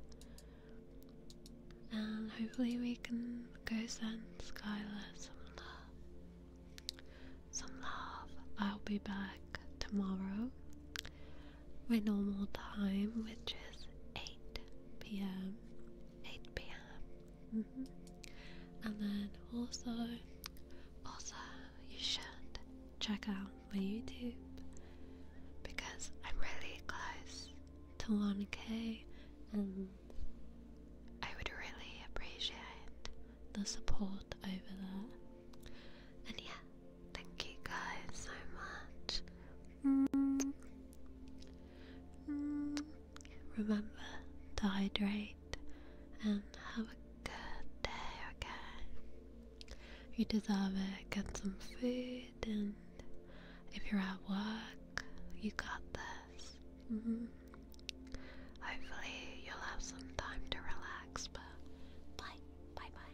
And hopefully we can go send Skylar some love. Some love. I'll be back tomorrow my normal time, which is 8 pm. 8 pm. Mm-hmm. And then also, also, you should check out my YouTube because I'm really close to 1k and I would really appreciate the support over there. And yeah, thank you guys so much. Remember to hydrate and have a good day, okay? You deserve it. Get some food, and if you're at work, you got this. Mm-hmm. Hopefully, you'll have some time to relax, but bye, bye, bye.